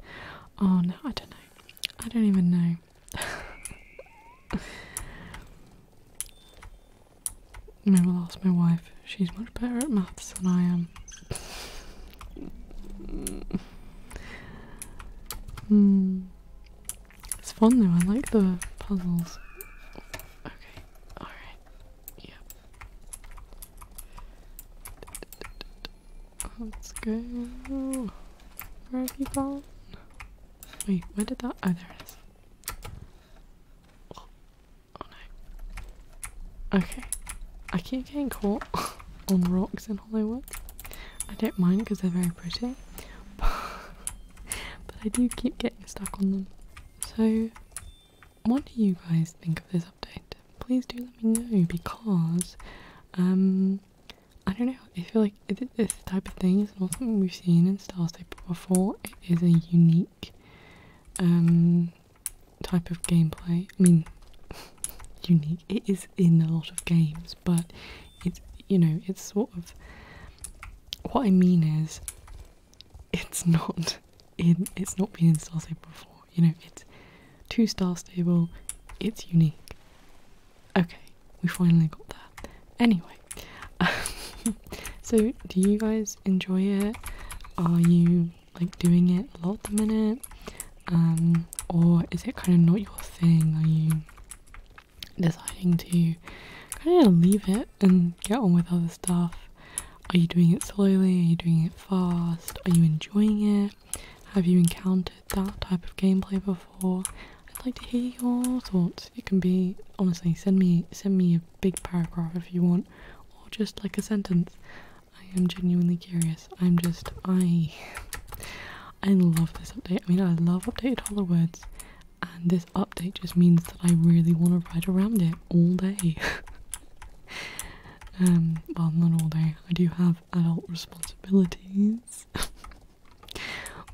Oh no, I don't know. I don't even know. I ask my wife. She's much better at maths than I am. Hmm. It's fun though, I like the puzzles. Okay, alright. Yep. Let's go. Where have you gone? Wait, where did that? Oh, there it is. Oh, no. Okay. I keep getting caught on rocks in Hollywood. I don't mind because they're very pretty. But, I do keep getting stuck on them. So, what do you guys think of this update? Please do let me know because um, I don't know. I feel like is it, this type of thing is not something we've seen in Star Stable before. It is a unique um, type of gameplay. I mean, unique. It is in a lot of games, but it's you know it's sort of what I mean is it's not in it's not been in Star Stable before. You know, it's two Star Stable. It's unique. Okay, we finally got there. Anyway, so do you guys enjoy it? Are you like doing it a lot at the minute? Um, or is it kind of not your thing? Are you deciding to kind of leave it and get on with other stuff? Are you doing it slowly? Are you doing it fast? Are you enjoying it? Have you encountered that type of gameplay before? I'd like to hear your thoughts. It can be honestly send me send me a big paragraph if you want, or just like a sentence. I am genuinely curious. I'm just I I love this update. I mean I love updated hollow words and this update just means that I really want to ride around it all day. um well not all day. I do have adult responsibilities.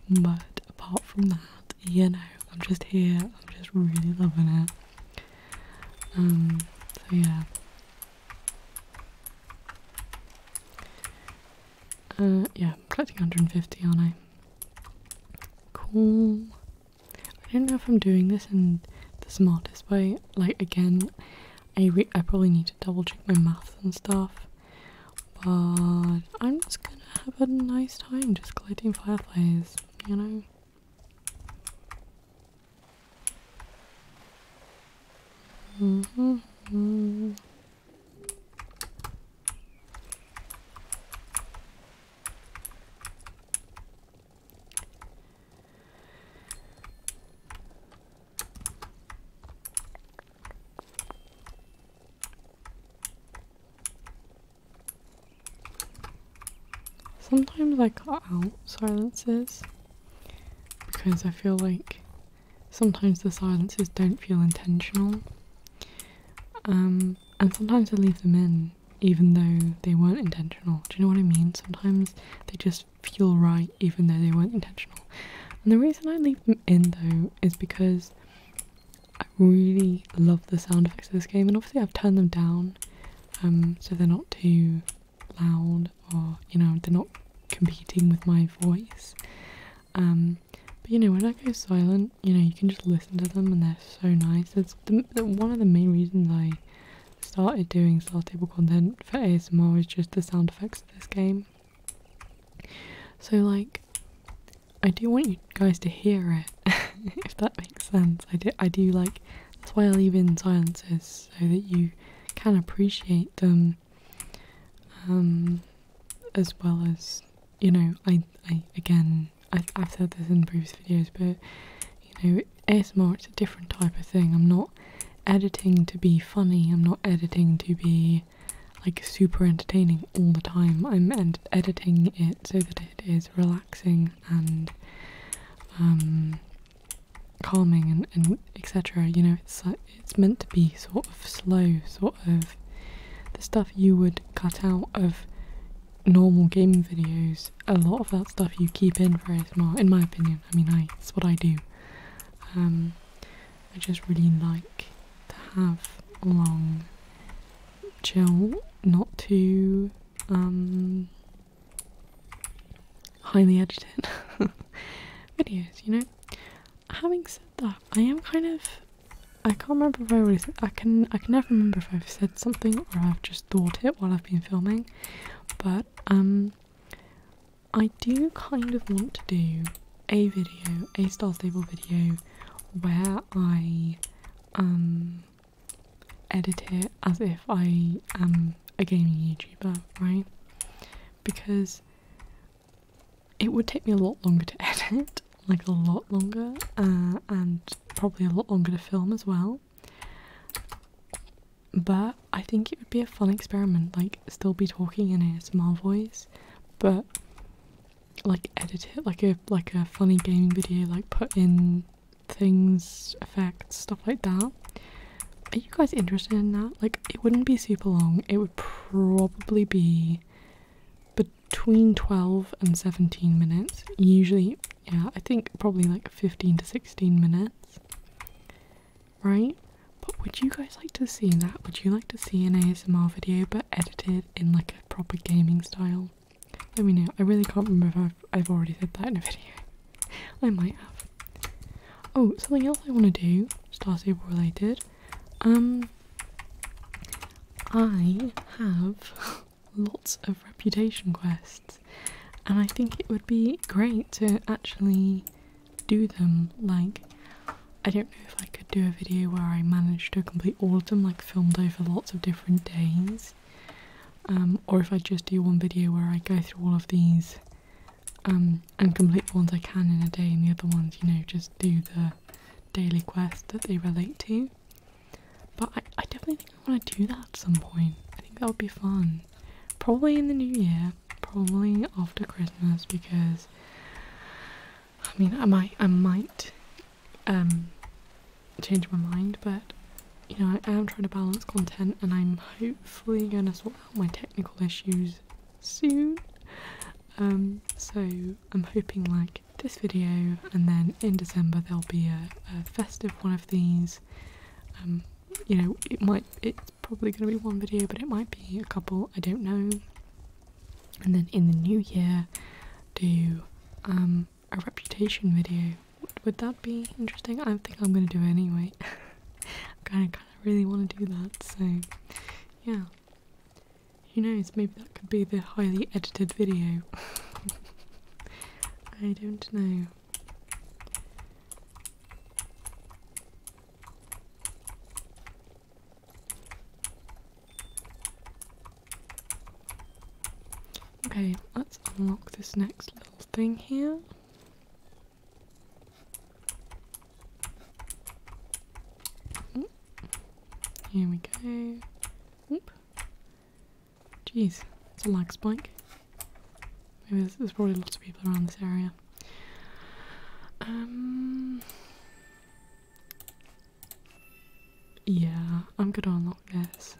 But apart from that, you know, I'm just here, I'm just really loving it. Um, so yeah. Uh, yeah, I'm collecting 150, aren't I? Cool. I don't know if I'm doing this in the smartest way. Like, again, I, I probably need to double check my maths and stuff but I'm just gonna have a nice time just collecting fireflies, you know? Mm-hmm. Sometimes I cut out silences because I feel like sometimes the silences don't feel intentional. Um, and sometimes I leave them in even though they weren't intentional. Do you know what I mean? Sometimes they just feel right even though they weren't intentional. And the reason I leave them in though is because I really love the sound effects of this game, and obviously I've turned them down um, so they're not too loud or you know they're not competing with my voice. Um, but you know when I go silent, you know you can just listen to them and they're so nice. That's the, one of the main reasons I started doing Star Table content for ASMR is just the sound effects of this game. So like I do want you guys to hear it, if that makes sense. I do, I do like, that's why I leave in silences, so that you can appreciate them, um, as well as, you know, I, I again, I, have said this in previous videos, but, you know, ASMR, it's a different type of thing. I'm not editing to be funny, I'm not editing to be like super entertaining all the time. I'm editing it so that it is relaxing and um, calming and, etc. You know, it's like, it's meant to be sort of slow, sort of the stuff you would cut out of normal game videos. A lot of that stuff you keep in for ASMR, in my opinion. I mean, I it's what I do. Um, I just really like to have long Chill, not too um, highly edited videos, you know. Having said that, I am kind of I can't remember if I really said, I can I can never remember if I've said something or I've just thought it while I've been filming, but um, I do kind of want to do a video, a Star Stable video, where I um edit it as if I am a gaming YouTuber, right? Because it would take me a lot longer to edit, like a lot longer, uh, and probably a lot longer to film as well. But I think it would be a fun experiment, like still be talking in a small voice, but like edit it like a like a funny gaming video, like put in things, effects, stuff like that. Are you guys interested in that? Like it wouldn't be super long. It would probably be between 12 and 17 minutes. Usually, yeah, I think probably like 15 to 16 minutes. Right? But would you guys like to see that? Would you like to see an ASMR video but edited in like a proper gaming style. Let me know. I really can't remember if I've, already said that in a video. I might have. Oh, something else I want to do, Star Stable related. Um, I have lots of reputation quests, and I think it would be great to actually do them. Like, I don't know if I could do a video where I manage to complete all of them, like filmed over lots of different days, um, or if I just do one video where I go through all of these um, and complete the ones I can in a day, and the other ones, you know, just do the daily quest that they relate to. But I, I definitely think I want to do that at some point. I think that would be fun. Probably in the new year, probably after Christmas, because I mean, I might, I might um, change my mind, but you know, I am trying to balance content and I'm hopefully going to sort out my technical issues soon. Um, so I'm hoping like this video and then in December there'll be a, a festive one of these. Um, you know, it might, it's probably going to be one video, but it might be a couple, I don't know and then in the new year do um, a reputation video. Would that be interesting? I think I'm gonna do it anyway. I kind of really want to do that, so yeah. Who knows? Maybe that could be the highly edited video. I don't know. Okay, let's unlock this next little thing here. Here we go. Oop. Jeez, it's a lag spike. Maybe there's, there's probably lots of people around this area. Um, yeah, I'm gonna unlock this.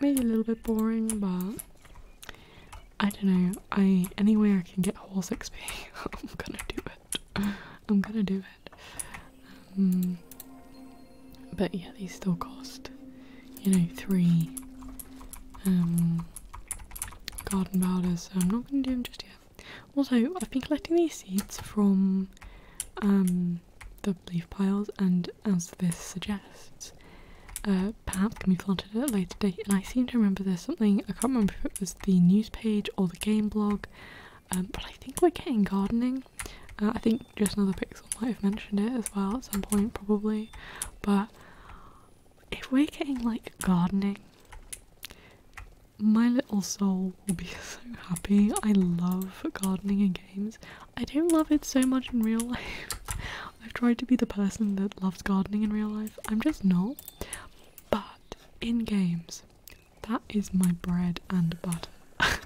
Maybe a little bit boring, but I don't know. I anyway I can get horse 6 I'm gonna do it. I'm gonna do it. Um, but yeah, these still cost, you know, three um garden powders. So I'm not gonna do them just yet. Also, I've been collecting these seeds from um, the leaf piles, and as this suggests, uh, perhaps can be planted at a later date. And I seem to remember there's something I can't remember if it was the news page or the game blog, um, but I think we're getting gardening. Uh, I think just another pixel might have mentioned it as well at some point, probably. But if we're getting like gardening, my little soul will be so happy. I love gardening and games. I don't love it so much in real life. I've tried to be the person that loves gardening in real life. I'm just not. But in games, that is my bread and butter.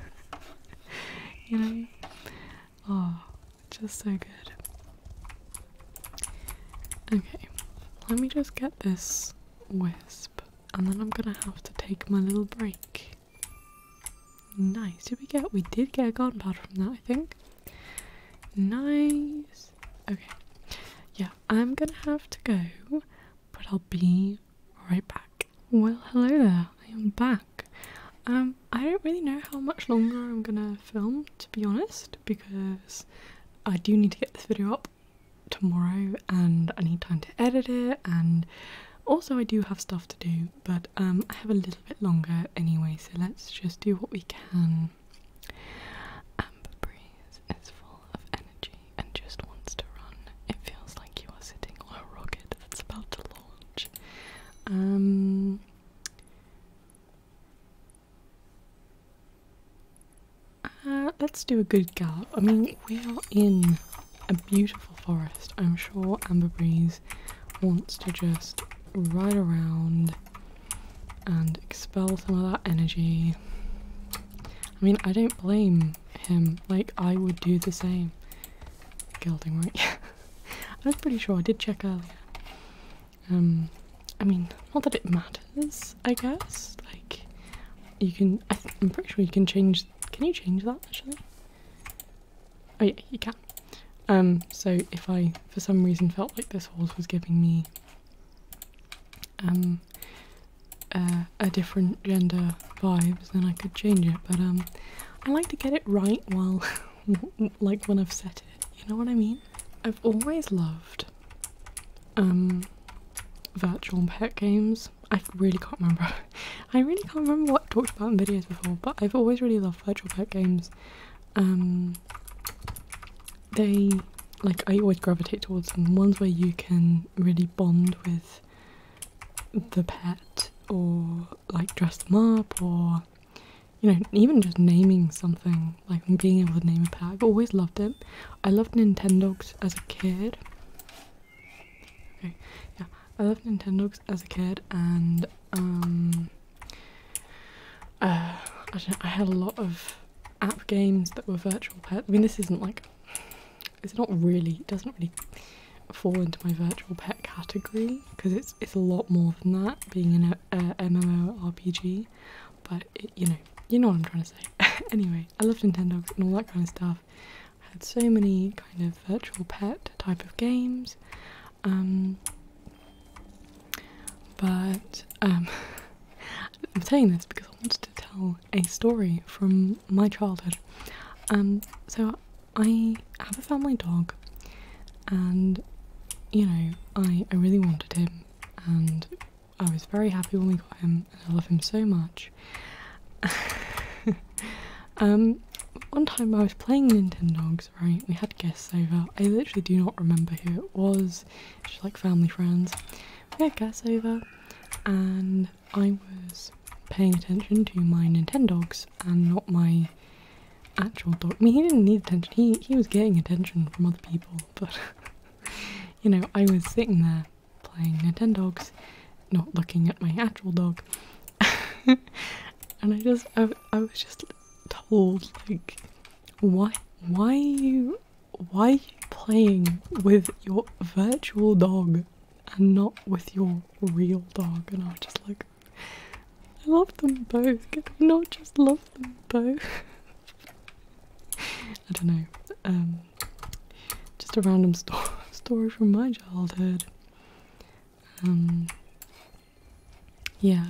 you know? Oh, just so good. Okay, let me just get this wisp and then I'm gonna have to take my little break. Nice. Did we get? We did get a garden pad from that, I think. Nice. Okay. Yeah, I'm gonna have to go, but I'll be right back. Well, hello there. I am back. Um, I don't really know how much longer I'm gonna film, to be honest, because I do need to get this video up tomorrow and I need time to edit it and also I do have stuff to do but um, I have a little bit longer anyway so let's just do what we can. Amber is full of energy and just wants to run. It feels like you are sitting on a rocket that's about to launch. Um, uh, let's do a good gallop. I mean, we are in a beautiful forest. I'm sure Amber Breeze wants to just ride around and expel some of that energy. I mean, I don't blame him. Like, I would do the same. Gelding, right? Yeah. I was pretty sure. I did check earlier. Um, I mean, not that it matters, I guess. Like, you can. I am pretty sure you can change can you change that actually? Oh yeah, you can. Um so if I for some reason felt like this horse was giving me um a different gender vibes then I could change it but um I like to get it right while like when I've set it, you know what I mean? I've always loved um virtual pet games I really can't remember. I really can't remember what I talked about in videos before, but I've always really loved virtual pet games. Um, they like I always gravitate towards them. Ones where you can really bond with the pet, or like dress them up, or you know, even just naming something like being able to name a pet. I've always loved it. I loved Nintendogs as a kid. Okay, yeah, I loved Nintendo's as a kid, and um, uh, I, had a lot of app games that were virtual pet. I mean, this isn't like it's not really it doesn't really fall into my virtual pet category because it's it's a lot more than that being an MMO RPG. but you know you know what I'm trying to say. anyway, I loved Nintendo and all that kind of stuff. I had so many kind of virtual pet type of games, um, but um, I'm saying this because I wanted to tell a story from my childhood. Um, so I have a family dog, and you know, I, I really wanted him, and I was very happy when we got him, and I love him so much. Um, one time I was playing Nintendo Dogs. right? We had guests over. I literally do not remember who it was. just like family friends. We had guests over, and I was paying attention to my Dogs and not my actual dog. I mean, he didn't need attention. He he was getting attention from other people, but you know, I was sitting there playing Nintendogs, not looking at my actual dog. and I just, I, was just told, like, why, why are you, why are you playing with your virtual dog and not with your real dog? And I was just like, I love them both. Can I not just love them both? I don't know. Um, just a random story from my childhood. Um, yeah,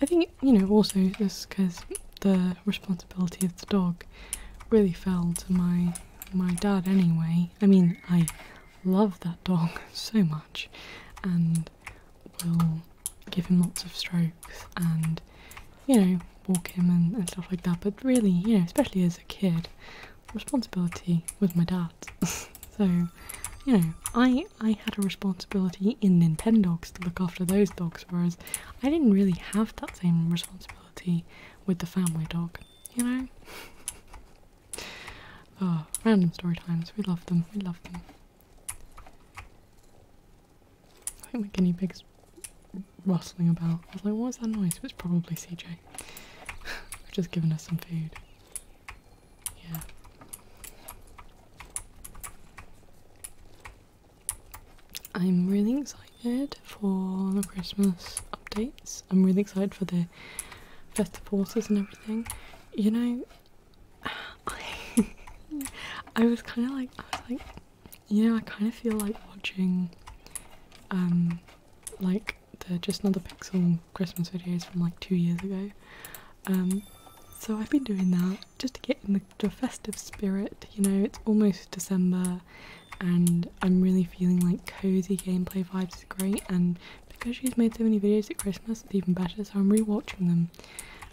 I think you know also just because the responsibility of the dog really fell to my my dad anyway. I mean, I love that dog so much, and will give him lots of strokes and you know walk him and stuff like that. But really, you know, especially as a kid, responsibility with my dad, so, you know, I I had a responsibility in Nintendogs to look after those dogs, whereas I didn't really have that same responsibility with the family dog, you know? Ah, random story times. We love them. We love them. I think my guinea pig's rustling about. I was like, what was that noise? It was probably CJ. just giving us some food. Yeah. I'm really excited for the Christmas updates. I'm really excited for the festive horses and everything. You know, I, I was kind of like, I was like, you know, I kind of feel like watching, um, like the Just Another Pixel Christmas videos from like two years ago. Um, so I've been doing that just to get in the, festive spirit, you know, it's almost December and I'm really feeling like cozy gameplay vibes is great and because she's made so many videos at Christmas it's even better so I'm rewatching them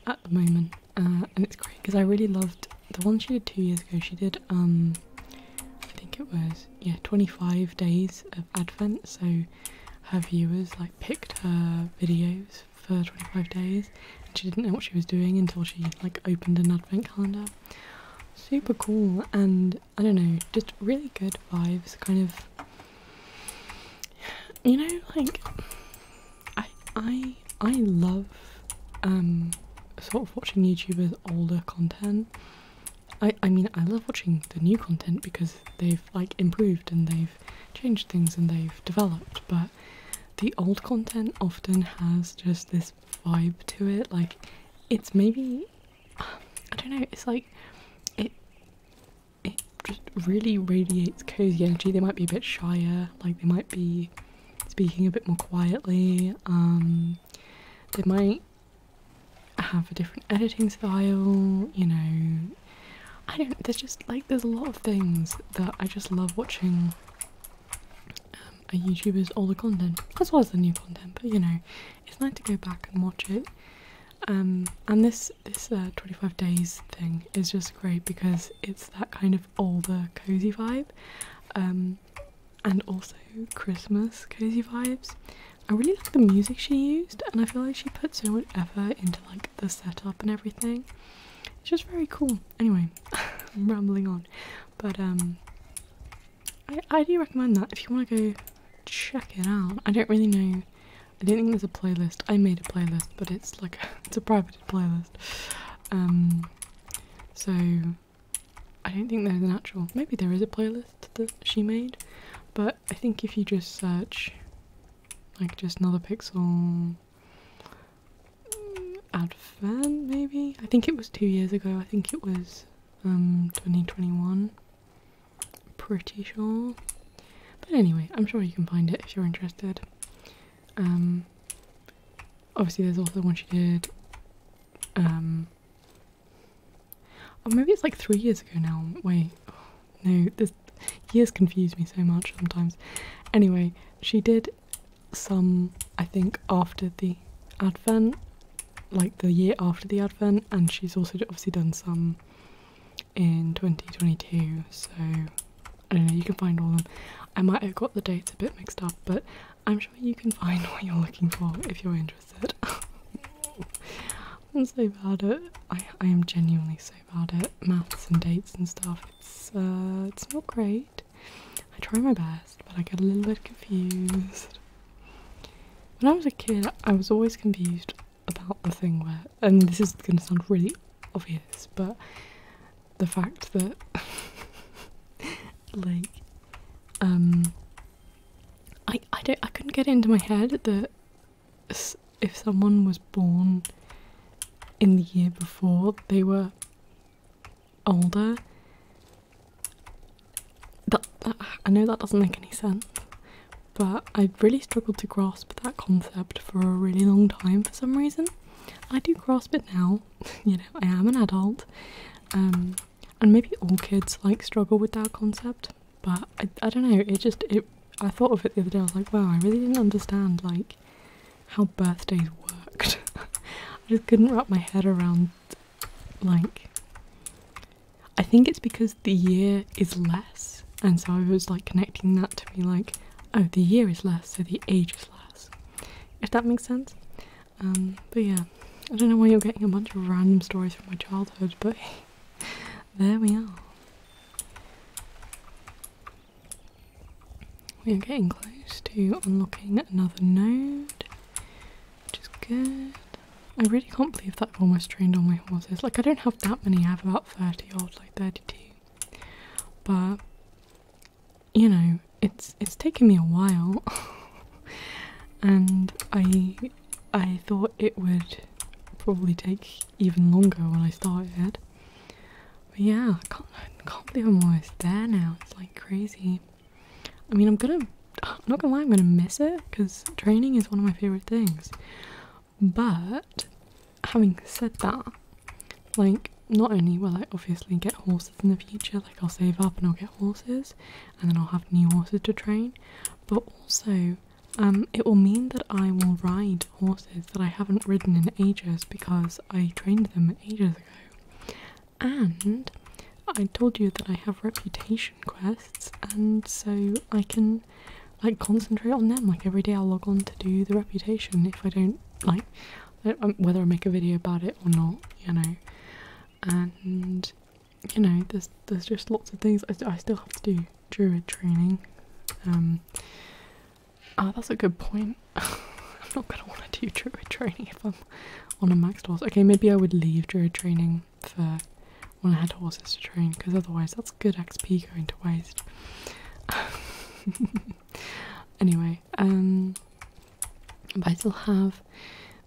at the moment uh, and it's great because I really loved the one she did two years ago she did um I think it was yeah 25 days of Advent so her viewers like picked her videos for 25 days and she didn't know what she was doing until she like opened an Advent calendar super cool and I don't know just really good vibes kind of you know like I I I love um sort of watching YouTubers older content I I mean I love watching the new content because they've like improved and they've changed things and they've developed, but the old content often has just this vibe to it. Like it's maybe I don't know. It's like it it just really radiates cozy energy. They might be a bit shyer, like they might be speaking a bit more quietly. Um, they might have a different editing style, you know. I don't, there's just like, there's a lot of things that I just love watching um, a YouTuber's older content, as well as the new content, but you know, it's nice to go back and watch it. Um, and this, this uh, 25 days thing is just great because it's that kind of older cozy vibe. Um, and also Christmas cozy vibes. I really like the music she used and I feel like she put so much effort into like the setup and everything. It's just very cool. Anyway, I'm rambling on. But um I I do recommend that if you want to go check it out. I don't really know I don't think there's a playlist. I made a playlist, but it's like it's a private playlist. Um so I don't think there's an actual. Maybe there is a playlist that she made, but I think if you just search, like just another pixel advent, maybe I think it was two years ago. I think it was um 2021. Pretty sure. But anyway, I'm sure you can find it if you're interested. Um, obviously, there's also one she did um, Oh, maybe it's like three years ago now. Wait, no, this years confuse me so much sometimes. Anyway, she did some, I think, after the advent, like the year after the advent, and she's also obviously done some in 2022. So I don't know, you can find all of them. I might have got the dates a bit mixed up, but I'm sure you can find what you're looking for if you're interested. I'm so bad at I I am genuinely so bad at maths and dates and stuff. It's uh, it's not great. I try my best, but I get a little bit confused. When I was a kid, I was always confused about the thing where and this is gonna sound really obvious, but the fact that like um I I don't I couldn't get it into my head that if someone was born in the year before they were older. that I know that doesn't make any sense, but I really struggled to grasp that concept for a really long time for some reason. I do grasp it now. you know, I am an adult. Um, and maybe all kids like struggle with that concept but I, I don't know it just it i thought of it the other day i was like wow i really didn't understand like how birthdays worked i just couldn't wrap my head around like i think it's because the year is less and so i was like connecting that to be like oh the year is less so the age is less if that makes sense um, but yeah, I don't know why you're getting a bunch of random stories from my childhood, but there we are. We are getting close to unlocking another node, which is good. I really can't believe that I've almost trained all my horses. Like, I don't have that many, I have about 30 odd, like 32. But, you know, it's, it's taking me a while. and I I thought it would probably take even longer when I started But yeah, I can't, can't believe I'm almost there now. It's like crazy. I mean, I'm gonna, I'm not gonna lie, I'm gonna miss it because training is one of my favorite things. But having said that, like, not only will I obviously get horses in the future, like, I'll save up and I'll get horses, and then I'll have new horses to train. But also, um, it will mean that I will ride horses that I haven't ridden in ages because I trained them ages ago. And I told you that I have reputation quests, and so I can like concentrate on them. Like every day, I'll log on to do the reputation if I don't like um, whether I make a video about it or not, you know. And you know, there's there's just lots of things I, I still have to do druid training. Um, ah, that's a good point. I'm not gonna want to do druid training if I'm on a maxed horse. Okay, maybe I would leave druid training for when I had horses to train, because otherwise that's good XP going to waste. anyway, um, but I still have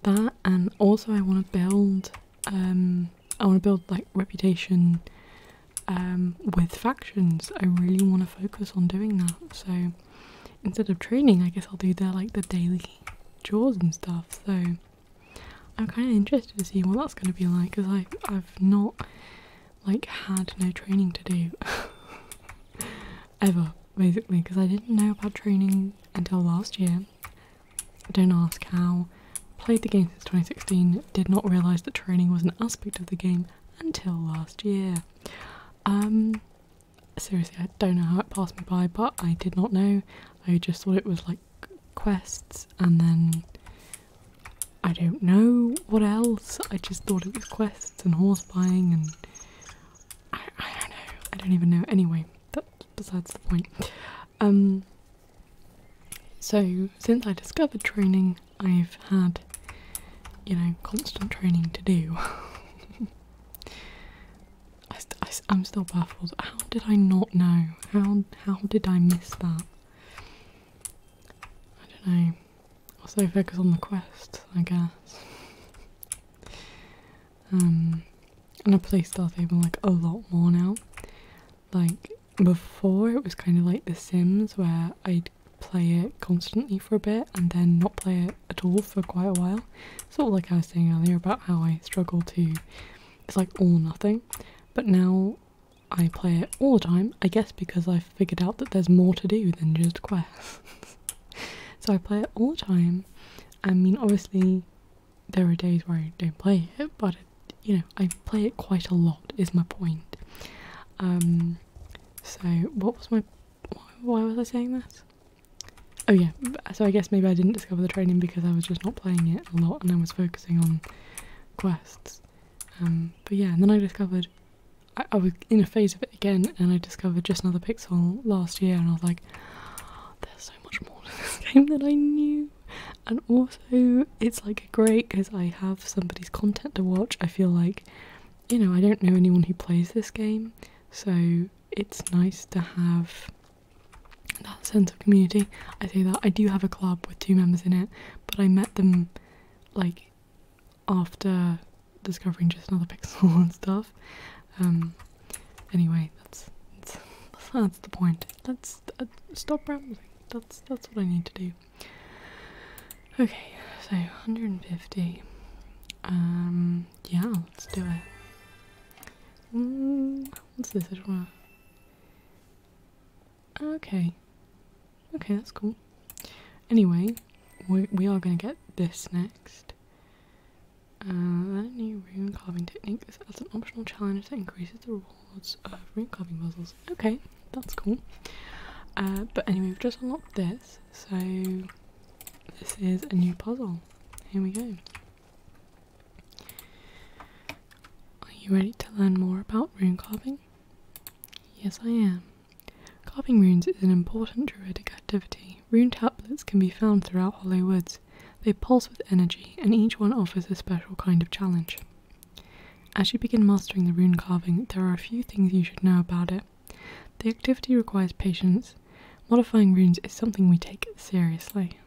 that and also I want to build um, I want to build like reputation um, with factions. I really want to focus on doing that. So instead of training, I guess I'll do their like the daily chores and stuff. So I'm kind of interested to see what that's going to be like because I I've not like had no training to do ever basically because I didn't know about training until last year don't ask how. Played the game since 2016, did not realise that training was an aspect of the game until last year. Um, seriously, I don't know how it passed me by, but I did not know. I just thought it was like quests and then I don't know what else. I just thought it was quests and horse buying and I, I don't know. I don't even know. Anyway, that's besides the point. Um, so, since I discovered training, I've had, you know, constant training to do. I I'm still baffled. How did I not know? How, how did I miss that? I don't know. Also focus on the quest, I guess. Um, and I play Star Stable like a lot more now. Like before, it was kind of like The Sims where I'd play it constantly for a bit and then not play it at all for quite a while. Sort of like I was saying earlier about how I struggle to, it's like all or nothing. But now I play it all the time, I guess because I've figured out that there's more to do than just quests. so I play it all the time. I mean, obviously, there are days where I don't play it, but you know, I play it quite a lot, is my point. Um, so, what was my. Why was I saying that? Oh, yeah, so I guess maybe I didn't discover the training because I was just not playing it a lot and I was focusing on quests. Um, but yeah, and then I discovered. I, was in a phase of it again and I discovered Just Another Pixel last year and I was like, oh, there's so much more of this game than I knew. And also, it's like great because I have somebody's content to watch. I feel like, you know, I don't know anyone who plays this game, so it's nice to have that sense of community. I say that I do have a club with two members in it, but I met them like after discovering just another pixel and stuff. Um, Anyway, that's that's, the point. Let's stop rambling. That's that's what I need to do. Okay, so 150. Um, yeah, let's do it. Mm, what's this? I do Okay. Okay, that's cool. Anyway, we, we are going to get this next. Uh, learn a new rune carving technique. This adds an optional challenge that increases the rewards of rune carving puzzles. Okay, that's cool. Uh, but anyway, we've just unlocked this, so this is a new puzzle. Here we go. Are you ready to learn more about rune carving? Yes, I am. Carving runes is an important druidic activity. Rune tablets can be found throughout Hollow Woods. They pulse with energy, and each one offers a special kind of challenge. As you begin mastering the rune carving, there are a few things you should know about it. The activity requires patience. Modifying runes is something we take seriously.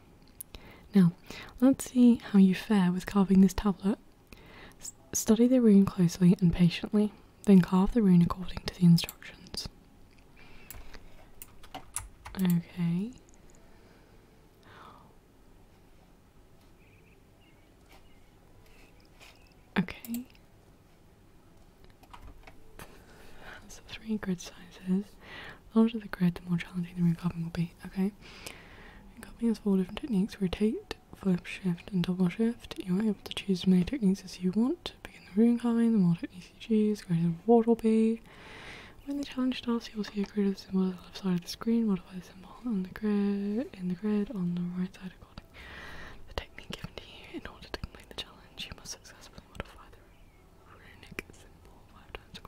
Now, let's see how you fare with carving this tablet. study the rune closely and patiently, then carve the rune according to the instructions. Okay. Okay. So three grid sizes. The larger the grid, the more challenging the recopying will be. Okay. And copying has four different techniques. Rotate, flip, shift, and double shift. You are able to choose as many techniques as you want. to Begin the room copying, the more techniques ECG is greater than what will be. When the challenge starts, you will see a grid of symbols on the left side of the screen. Modify the symbol on the grid, in the grid on the right side according to the technique given to you. In order to complete the challenge, you must successfully modify the runic symbol five times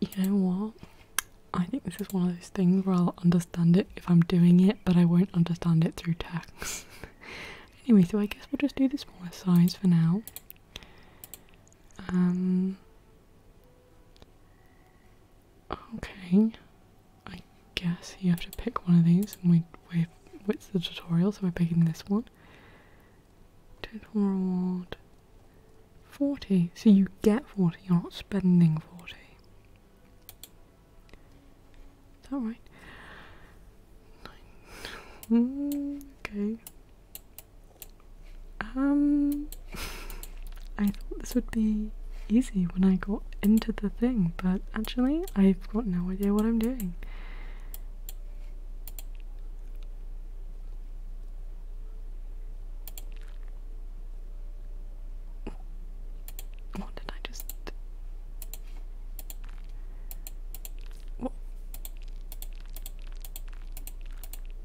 you know what? I think this is one of those things where I'll understand it if I'm doing it, but I won't understand it through text. anyway, so I guess we'll just do the smaller size for now. Um. Okay. I guess you have to pick one of these, and we we it's the tutorial, so we're picking this one. Total 40. So you get 40, you're not spending 40. Is that right? okay. Um, I thought this would be easy when I got into the thing, but actually, I've got no idea what I'm doing. What did I just... What?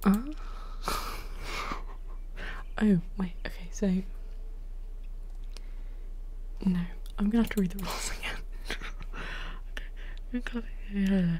Uh? oh, wait, okay, so... No, I'm gonna have to read the rules again. okay.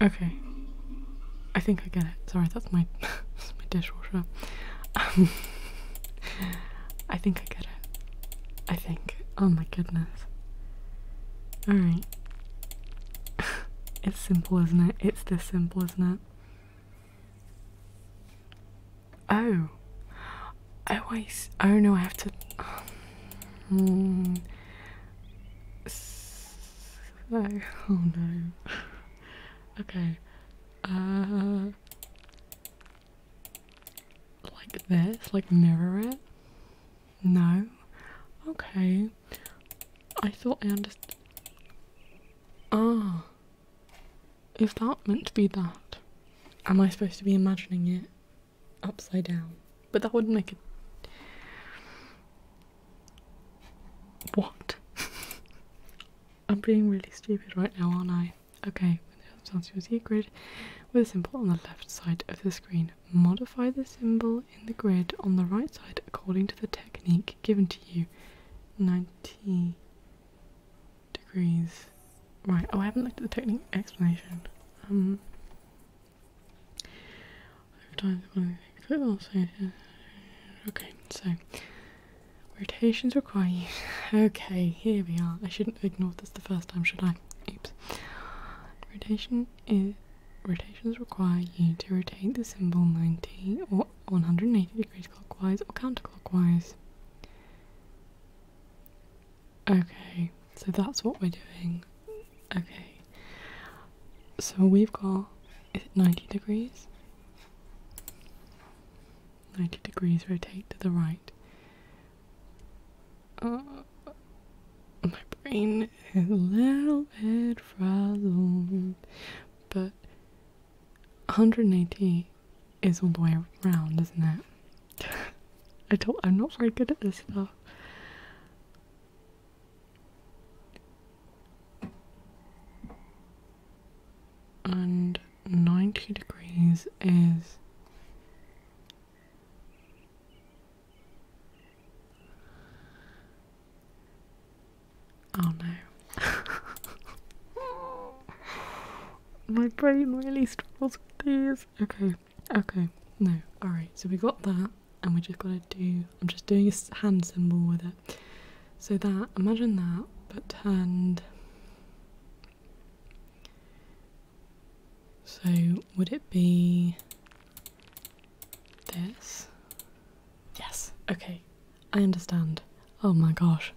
Okay. I think I get it. Sorry, that's my my dishwasher. Um, I think I get it. I think. Oh my goodness. Alright. it's simple, isn't it? It's this simple, isn't it? Oh. oh I I, oh no, I have to. Um, Oh no. okay. Uh, like this? Like mirror it? No? Okay. I thought I understood. Ah. If that meant to be that? Am I supposed to be imagining it upside down? But that would not make it. What? I'm being really stupid right now, aren't I? Okay, that's your secret. With a symbol on the left side of the screen, modify the symbol in the grid on the right side according to the technique given to you. 90 degrees. Right, oh, I haven't looked at the technique explanation. Um, Okay, so rotations require you. Okay, here we are. I shouldn't ignore this the first time, should I? Oops. Rotation is rotations require you to rotate the symbol 90 or 180 degrees clockwise or counterclockwise. Okay, so that's what we're doing. Okay. So we've got 90 degrees? 90 degrees rotate to the right. Uh, my brain is a little bit frazzled, but 180 is all the way around, isn't it? I do I'm not very good at this stuff and 90 degrees is oh no my brain really struggles with these okay okay no all right so we got that and we're just going to do, I'm just doing a hand symbol with it. So that, imagine that, but turned. So would it be this? Yes, okay, I understand. Oh my gosh.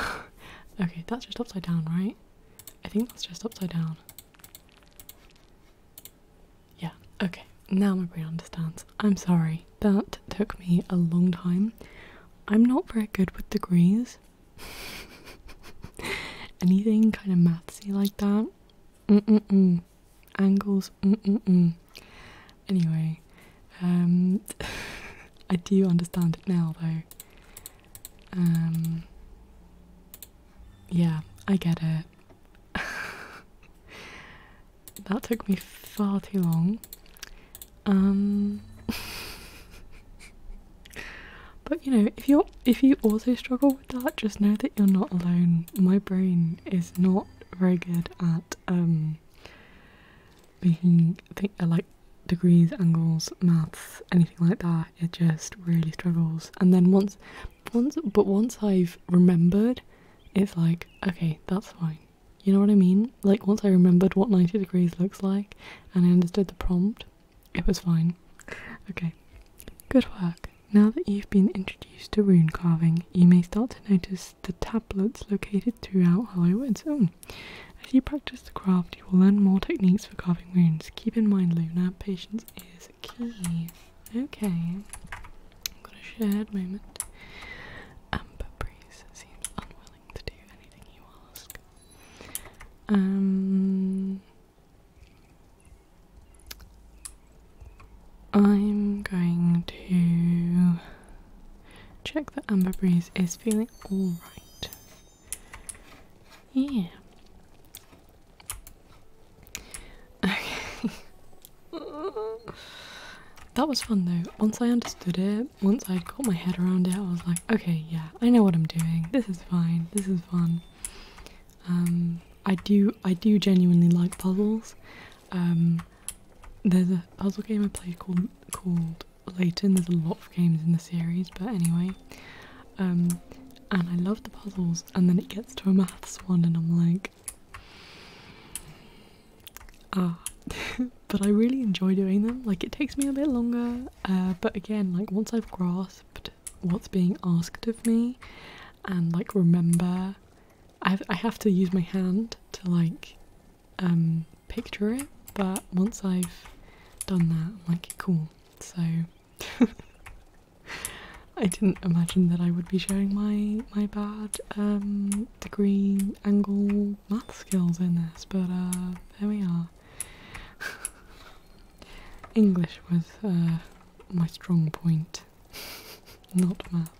okay, that's just upside down, right? I think that's just upside down. Yeah, okay, now my brain understands. I'm sorry, that took me a long time. I'm not very good with degrees. Anything kind of mathsy like that. Mm-mm-mm. Angles, mm-mm-mm. Anyway, um, I do understand it now though. Um, yeah, I get it. That took me far too long. Um But you know, if you're if you also struggle with that, just know that you're not alone. My brain is not very good at um making think uh, like degrees, angles, maths, anything like that. It just really struggles. And then once once but once I've remembered it's like, okay, that's fine. You know what I mean? Like, once I remembered what 90 degrees looks like and I understood the prompt, it was fine. Okay, good work. Now that you've been introduced to rune carving, you may start to notice the tablets located throughout Hollywood Zone. As you practice the craft, you will learn more techniques for carving runes. Keep in mind, Luna, patience is key. Okay. I've got a moment. Amber seems unwilling to do anything you ask. Um I'm going to check that Amber Breeze is feeling alright. Yeah. Okay. that was fun though. Once I understood it, once I got my head around it, I was like, okay, yeah, I know what I'm doing. This is fine. This is fun. Um, I do, I do genuinely like puzzles. Um, there's a puzzle game I play called called Layton. There's a lot of games in the series, but anyway. Um, and I love the puzzles, and then it gets to a maths one, and I'm like, think. Ah. but I really enjoy doing them. Like it takes me a bit longer, uh, but again, like once I've grasped what's being asked of me, and like remember, I've, to use my hand to like um, picture it. But once I've done that, I'm like cool. So. I didn't imagine that I would be showing my my bad um, degree angle math skills in this, but uh, there we are. English was uh, my strong point, not maths.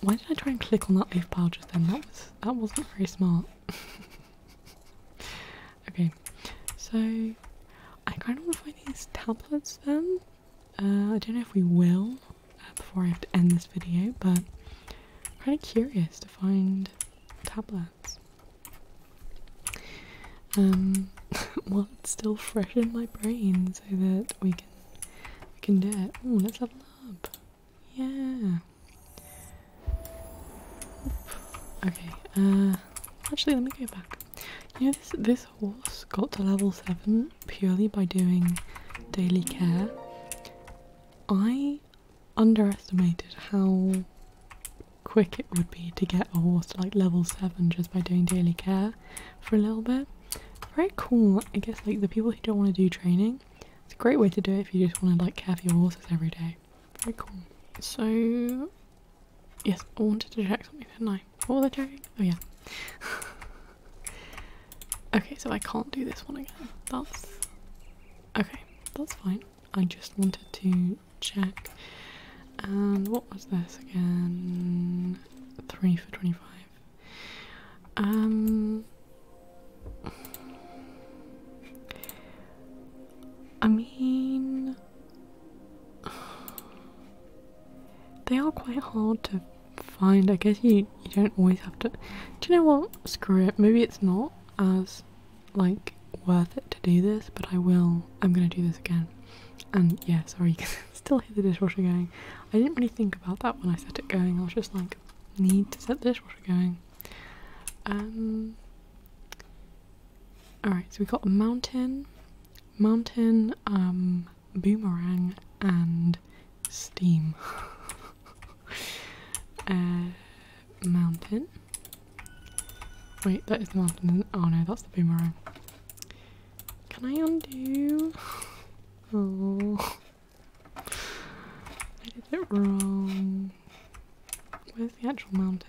Why did I try and click on that leaf pile just then? That was that wasn't very smart. okay, so I kind of want to find these tablets then. Uh, I don't know if we will before I have to end this video, but I'm kind of curious to find tablets. Um, what's still fresh in my brain, so that we can we can do it. Oh, let's have a up. Yeah. Okay. Uh, actually, let me go back. You know, this this horse got to level 7 purely by doing daily care. I underestimated how quick it would be to get a horse to like level 7 just by doing daily care for a little bit. Very cool, I guess like the people who don't want to do training, it's a great way to do it if you just want to like care for your horses every day. Very cool. So yes, I wanted to check something, didn't I? What was I Oh yeah. okay, so I can't do this one again. That's okay. That's fine. I just wanted to check. And what was this again? Three for twenty-five. Um. I mean, they are quite hard to find. I guess you you don't always have to. Do you know what? Screw it. Maybe it's not as like worth it to do this, but I will. I'm gonna do this again. And yeah, sorry, you still hear the dishwasher going. I didn't really think about that when I set it going. I was just like, need to set the dishwasher going. Um. Alright, so we got a mountain mountain, um, boomerang, and steam. uh, mountain. Wait, that is the mountain. Oh no, that's the boomerang. Can I undo? Oh, I did it wrong. Where's the actual mountain?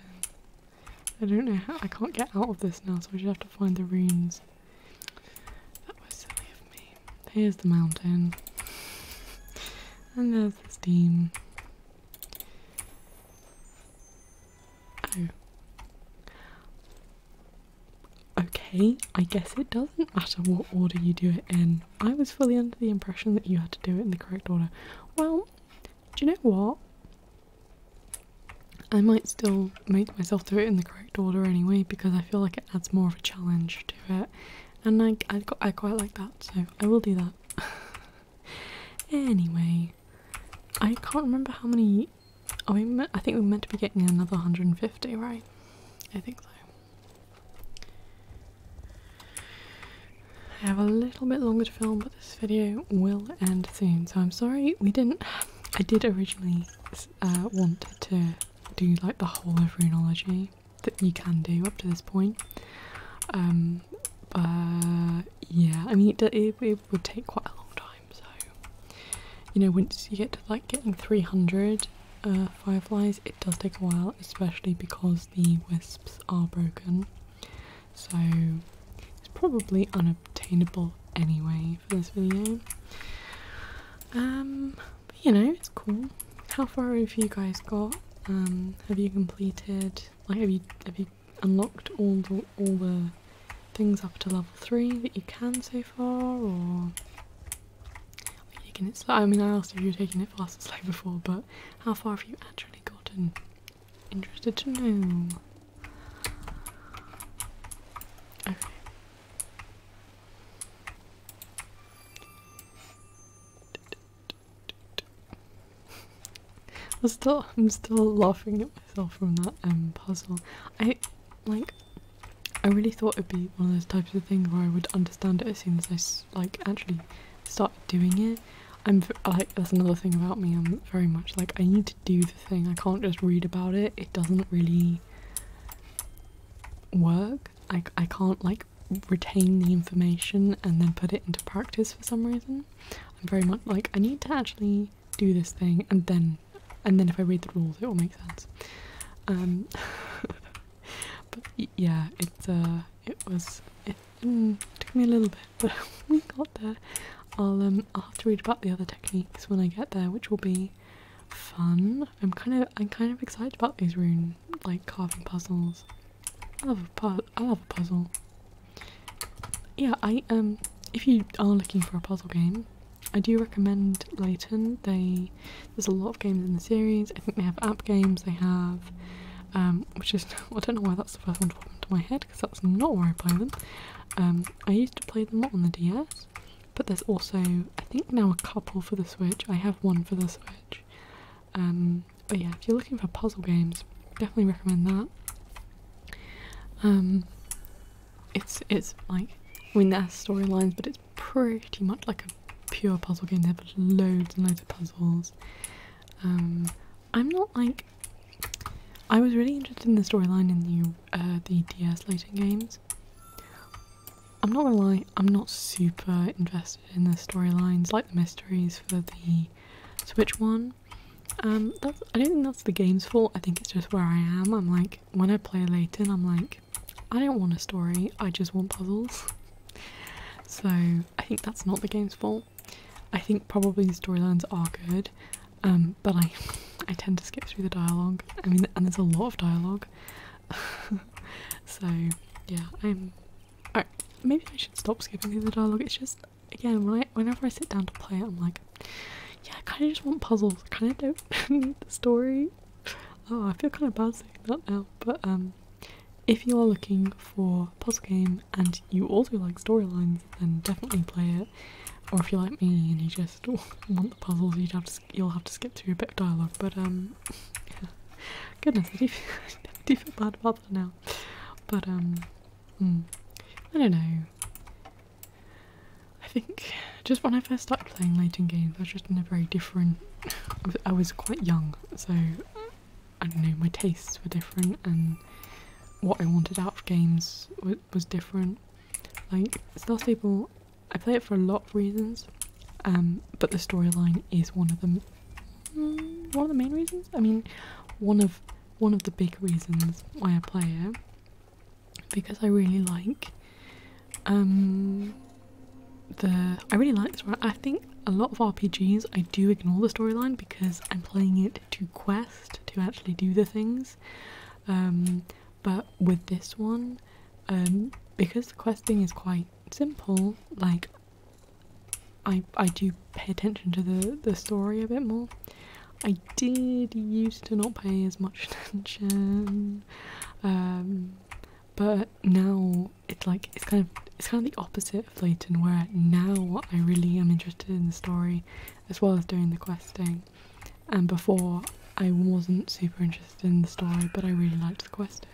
I don't know how. I can't get out of this now, so I just have to find the runes. That was silly of me. Here's the mountain. And there's the steam. Oh. Okay, I guess it doesn't matter what order you do it in. I was fully under the impression that you had to do it in the correct order. Well, do you know what? I might still make myself do it in the correct order anyway because I feel like it adds more of a challenge to it, and I I, quite like that, so I will do that. anyway, I can't remember how many. Oh, I think we're meant to be getting another 150, right? I think so. I have a little bit longer to film, but this video will end soon. So I'm sorry we didn't. I did originally always uh, wanted to do like the whole of runology that you can do up to this point. Um, but yeah, I mean, it, would take quite a long time, so you know, once you get to like getting 300 uh, fireflies, it does take a while, especially because the wisps are broken, so it's probably unobtainable anyway for this video. Um, you know, it's cool. How far have you guys got? Um, have you completed? Like, have you have you unlocked all the all the things up to level three that you can so far, or? Taking it slow. I mean, I asked if you were taking it fast and slow before, but how far have you actually gotten? Interested to know. I'm still, laughing at myself from that um, puzzle. I, like, I really thought it'd be one of those types of things where I would understand it as soon as I, like, actually start doing it. I'm, like, that's another thing about me, I'm very much like, I need to do the thing, I can't just read about it, it doesn't really work. I, I can't like retain the information and then put it into practice for some reason. I'm very much like I need to actually do this thing and then and then if I read the rules it will make sense. Um but yeah, it's uh it was it mm, took me a little bit, but we got there. I'll um I'll have to read about the other techniques when I get there, which will be fun. I'm kind of I'm kind of excited about these rune like carving puzzles. I love a pu I love a puzzle. Yeah, I um if you are looking for a puzzle game, I do recommend Layton. They there's a lot of games in the series. I think they have app games. They have um which is I don't know why that's the first one to pop into my head because that's not where I play them. Um, I used to play them on the DS. But there's also, I think now a couple for the Switch. I have one for the Switch. Um, but yeah, if you're looking for puzzle games, definitely recommend that. Um, it's it's like I mean there's storylines, but it's pretty much like a pure puzzle game. They have loads and loads of puzzles. Um, I'm not like I was really interested in the storyline in the uh, the DS later games. I'm not gonna lie, I'm not super invested in the storylines, like the mysteries for the Switch one. Um, that's, I don't think that's the game's fault, I think it's just where I am. I'm like, when I play Layton, I'm like, I don't want a story, I just want puzzles. so I think that's not the game's fault. I think probably storylines are good, um, but I, I tend to skip through the dialogue. I mean, and there's a lot of dialogue. so yeah, I'm. Alright, maybe I should stop skipping through the dialogue. It's just again, when I, whenever I sit down to play it, I'm like, yeah, I kind of just want puzzles. I kind of don't need the story. Oh, I feel kind of bad saying that now, but um, if you are looking for puzzle game and you also like storylines, then definitely play it. Or if you like me and you just want the puzzles, you'd have to you'll have to skip through a bit of dialogue, but um, yeah. goodness, I do, I feel bad about that now. But um, hmm, I don't know. I think just when I first started playing Leighton games, I was just in a very different. I was quite young, so I don't know. My tastes were different, and what I wanted out of games was was, different. Like people. I play it for a lot of reasons, um, but the storyline is one of them. Mm, one of the main reasons. I mean, one of one of the big reasons why I play it because I really like um the I really like this one. I think a lot of RPGs I do ignore the storyline because I'm playing it to quest to actually do the things. Um, but with this one um, because the questing is quite simple like i i do pay attention to the the story a bit more i did used to not pay as much attention um, but now it's like it's kind of it's kind of the opposite of Layton where now I really am interested in the story as well as doing the questing and before I wasn't super interested in the story, but I really liked the questing.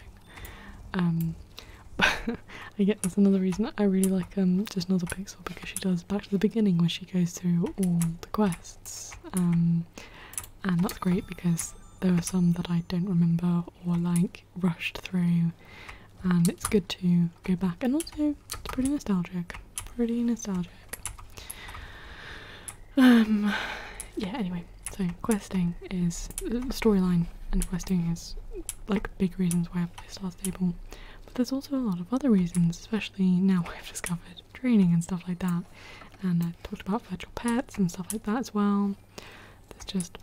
Um, I get that's another reason I really like um, just another pixel because she does back to the beginning when she goes through all the quests. Um, and that's great because there are some that I don't remember or like rushed through, and it's good to go back and also it's pretty nostalgic. Pretty nostalgic. Um, yeah, anyway, so questing is the storyline, and questing is like big reasons why I play Star Stable. But there's also a lot of other reasons, especially now I've discovered training and stuff like that. And I talked about virtual pets and stuff like that as well. There's just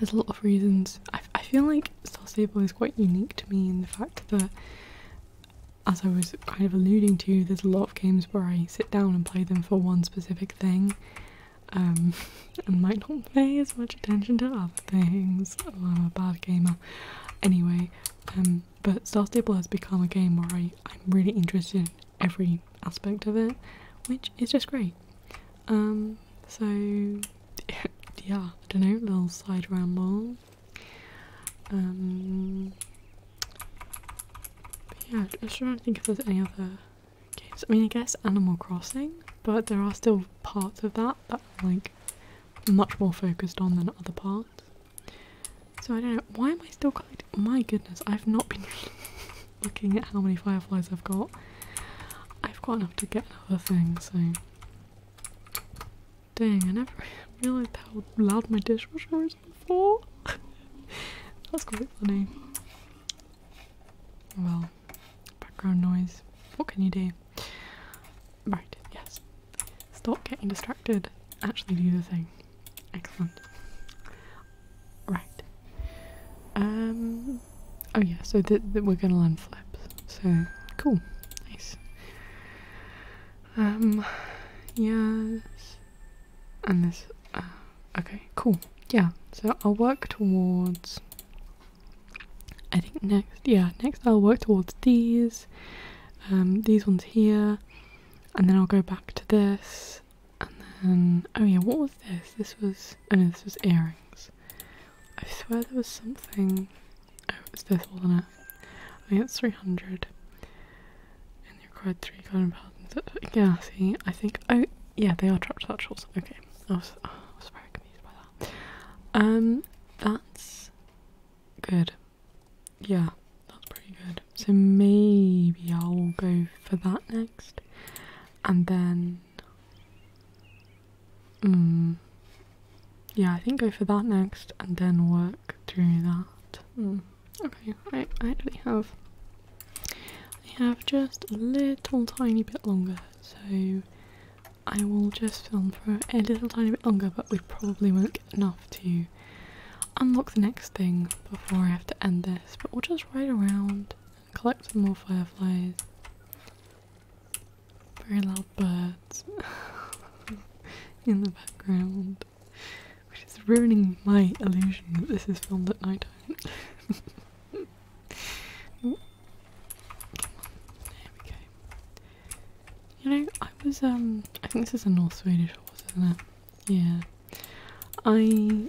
there's a lot of reasons. I, I feel like Star Stable is quite unique to me in the fact that as I was kind of alluding to, there's a lot of games where I sit down and play them for one specific thing, um, and might not pay as much attention to other things. Oh, I'm a bad gamer. Anyway, um, but Star Stable has become a game where I, I'm really interested in every aspect of it, which is just great. Um, so, yeah, I don't know, little side ramble. Um, yeah, I'm trying to think if there's any other games. I mean, I guess Animal Crossing, but there are still parts of that that are like much more focused on than other parts. So I don't know. Why am I still collecting? My goodness, I've not been looking at how many fireflies I've got. I've got enough to get another thing, so. Dang, I never realised how loud my dishwasher was before. That's quite funny. Well, background noise. What can you do? Right, yes. Stop getting distracted. Actually do the thing. Excellent. Right. Um. Oh yeah, so that we're gonna land flaps. So, cool. Nice. Um, yes and this uh, okay cool yeah so i'll work towards i think next yeah next i'll work towards these um, these ones here and then i'll go back to this and then oh yeah what was this this was oh no this was earrings i swear there was something oh it's this one. it i think it's 300 and they required three golden pounds. Yeah, see, I think. Oh, yeah, they are trapped satchels. Okay, I was, very confused by that. Um, that's good. Yeah, that's pretty good. So maybe I'll go for that next, and then. Mm, yeah, I think go for that next, and then what? work through that. Hmm. Okay, I, I actually have I have just a little tiny bit longer, so I will just film for a little tiny bit longer, but we probably won't get enough to unlock the next thing before I have to end this. But we'll just ride around and collect some more fireflies. Very loud birds in the background. Which is ruining my illusion that this is filmed at night time. Come There we go. You know, I was um I think this is a North Swedish horse, isn't it? Yeah. I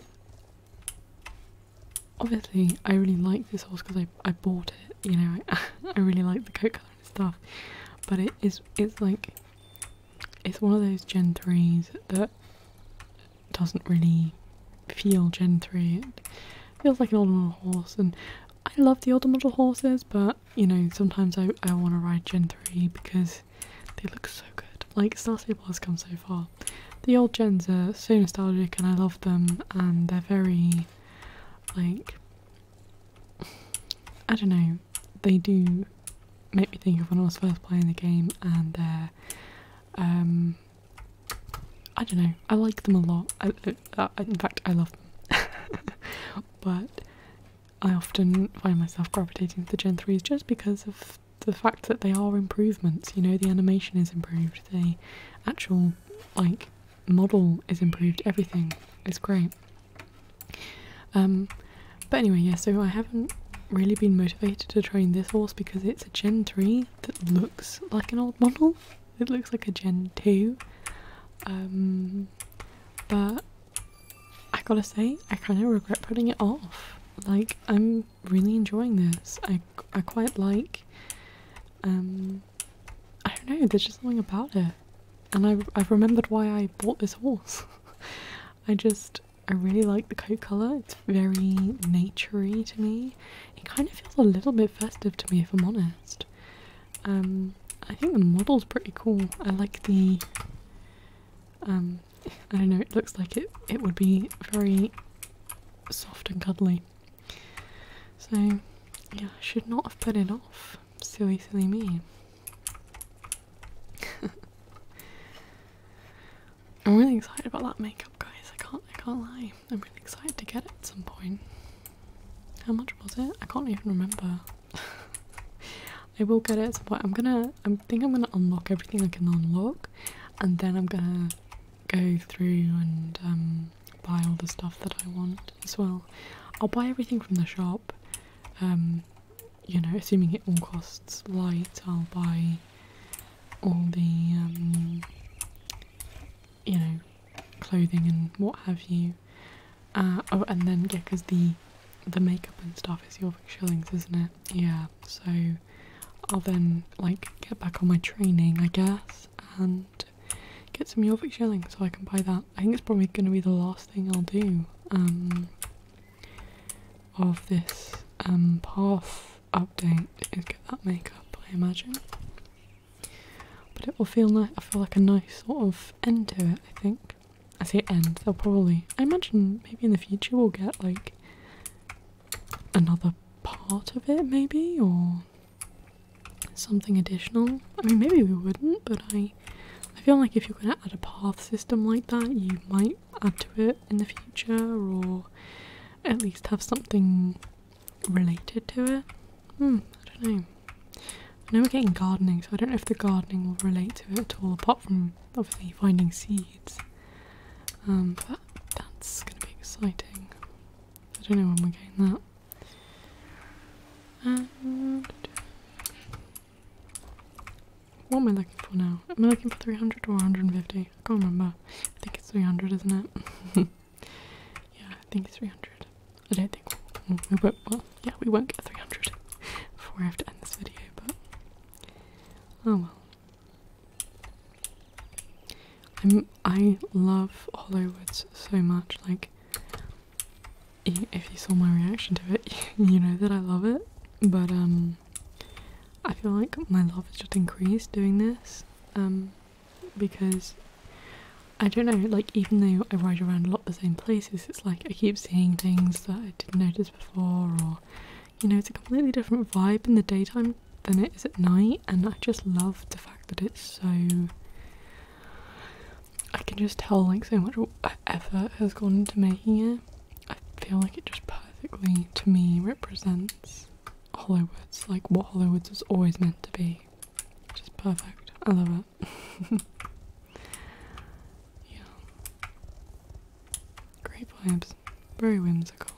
obviously I really like this horse because I I bought it, you know, I I really like the coat colour and stuff. But it is it's like it's one of those Gen 3s that doesn't really feel Gen 3. It feels like an older model horse, and I love the older model horses, but you know, sometimes I, I want to ride Gen 3 because they look so good. Like, Star Stable has come so far. The old gens are so nostalgic, and I love them, and they're very, like, I don't know, they do make me think of when I was first playing the game, and uh, um, I don't know, I like them a lot. Uh, uh, in fact, I love them, but I often find myself gravitating to the Gen 3s just because of the fact that they are improvements. You know, the animation is improved, the actual, like, model is improved, everything is great. Um, but anyway, yeah, so I haven't really been motivated to train this horse because it's a Gen 3 that looks like an old model. It looks like a Gen 2. Um, but I gotta say, I kind of regret putting it off. Like, I'm really enjoying this. I, I quite like, um, I don't know, there's just something about it. And I, I've remembered why I bought this horse. I just I really like the coat colour. It's very naturey to me. It kind of feels a little bit festive to me if I'm honest. Um, I think the model's pretty cool. I like the um, I don't know, it looks like it it would be very soft and cuddly. So yeah, I should not have put it off. Silly silly me. I'm really excited about that makeup, guys. I can't, I can't lie. I'm really excited to get it at some point. How much was it? I can't even remember. I will get it at I'm gonna, I think I'm gonna unlock everything I can unlock, and then I'm gonna go through and um, buy all the stuff that I want as well. I'll buy everything from the shop. Um, you know, assuming it all costs light, I'll buy all the, um, you know, clothing and what have you. Uh, oh, and then, yeah, because the, the makeup and stuff is your shillings, isn't it? Yeah, so I'll then, like, get back on my training, I guess, and get some Yorvik shillings so I can buy that. I think it's probably going to be the last thing I'll do. Um, of this um, path update is get that makeup, I imagine. But it will feel nice. I feel like a nice sort of end to it. I think. I say end. They'll probably. I imagine maybe in the future we'll get like another part of it, maybe, or something additional. I mean, maybe we wouldn't, but I I feel like if you're going to add a path system like that, you might add to it in the future or at least have something related to it. Hmm, I don't know. I know we're getting gardening, so I don't know if the gardening will relate to it at all, apart from obviously finding seeds. Um, but that's going to be exciting. I don't know when we're getting that. Uh, what am I looking for now? Am I looking for 300 or 150? I can't remember. I think it's 300, isn't it? yeah, I think it's 300. I don't think we'll, we will mm, not yeah, we won't get 300 before I have to end this video, but oh well. i I love Hollywoods so much, like, if you saw my reaction to it, you know that I love it. But um, I feel like my love has just increased doing this. Um, because I don't know, like even though I ride around a lot the same places, it's like I keep seeing things that I didn't notice before, or you know, it's a completely different vibe in the daytime than it is at night, and I just love the fact that it's so. I can just tell like so much effort has gone into making it. I feel like it just perfectly, to me, represents Hollywoods, like what Hollywoods was always meant to be. Just perfect. I love it. yeah. Great vibes. Very whimsical.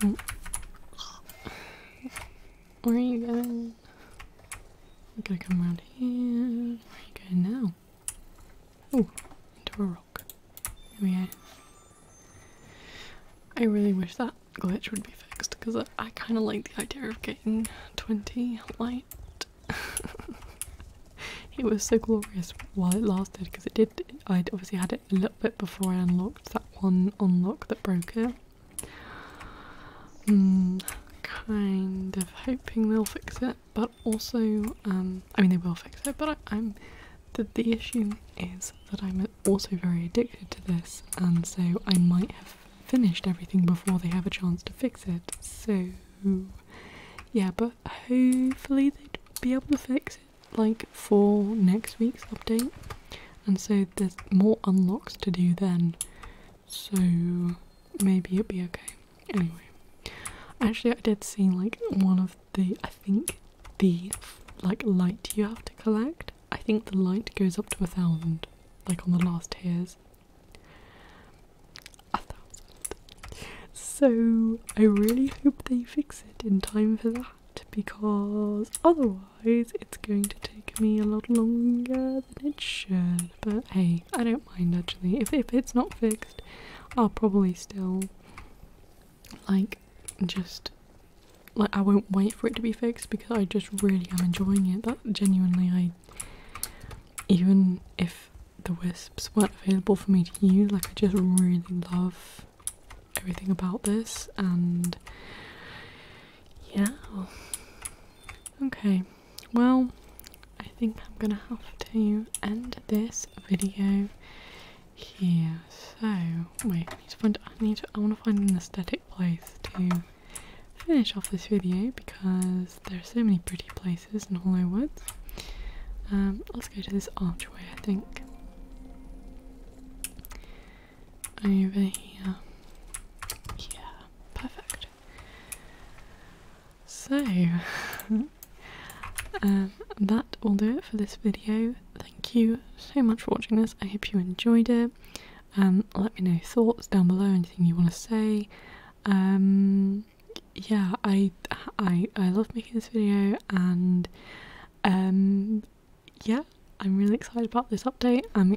Mm. Where are you going? We gotta come around here. Where are you going now? Oh, into a rock. There we go. I really wish that glitch would be fixed because I, I kind of like the idea of getting 20 light. it was so glorious while it lasted because it did. I obviously had it a little bit before I unlocked that one unlock that broke it. Mm, kind of hoping they'll fix it, but also, um, I mean, they will fix it, but I, am the issue is that I'm also very addicted to this, and so I might have finished everything before they have a chance to fix it. So, yeah, but hopefully they'd be able to fix it like for next week's update, and so there's more unlocks to do then so maybe it'll be okay. Anyway, actually, I did see like one of the I think the like light you have to collect. I think the light goes up to a thousand, like on the last tiers. A thousand. So I really hope they fix it in time for that because otherwise it's going to take me a lot longer than it should but hey, I don't mind actually. If, if it's not fixed, I'll probably still, like, just, like, I won't wait for it to be fixed because I just really am enjoying it. That genuinely, I, even if the wisps weren't available for me to use, like, I just really love everything about this and yeah. Okay, well, I think I'm gonna have to end this video here. So wait, I need to find. I want to find an aesthetic place to finish off this video because there are so many pretty places in Hollow Woods. Um, let's go to this archway. I think over here. Yeah, perfect. So, uh, that will do it for this video. Thank you so much for watching this. I hope you enjoyed it. Um, let me know thoughts down below, anything you want to say. Um, yeah, I, I, I love making this video and um, yeah, I'm really excited about this update. I'm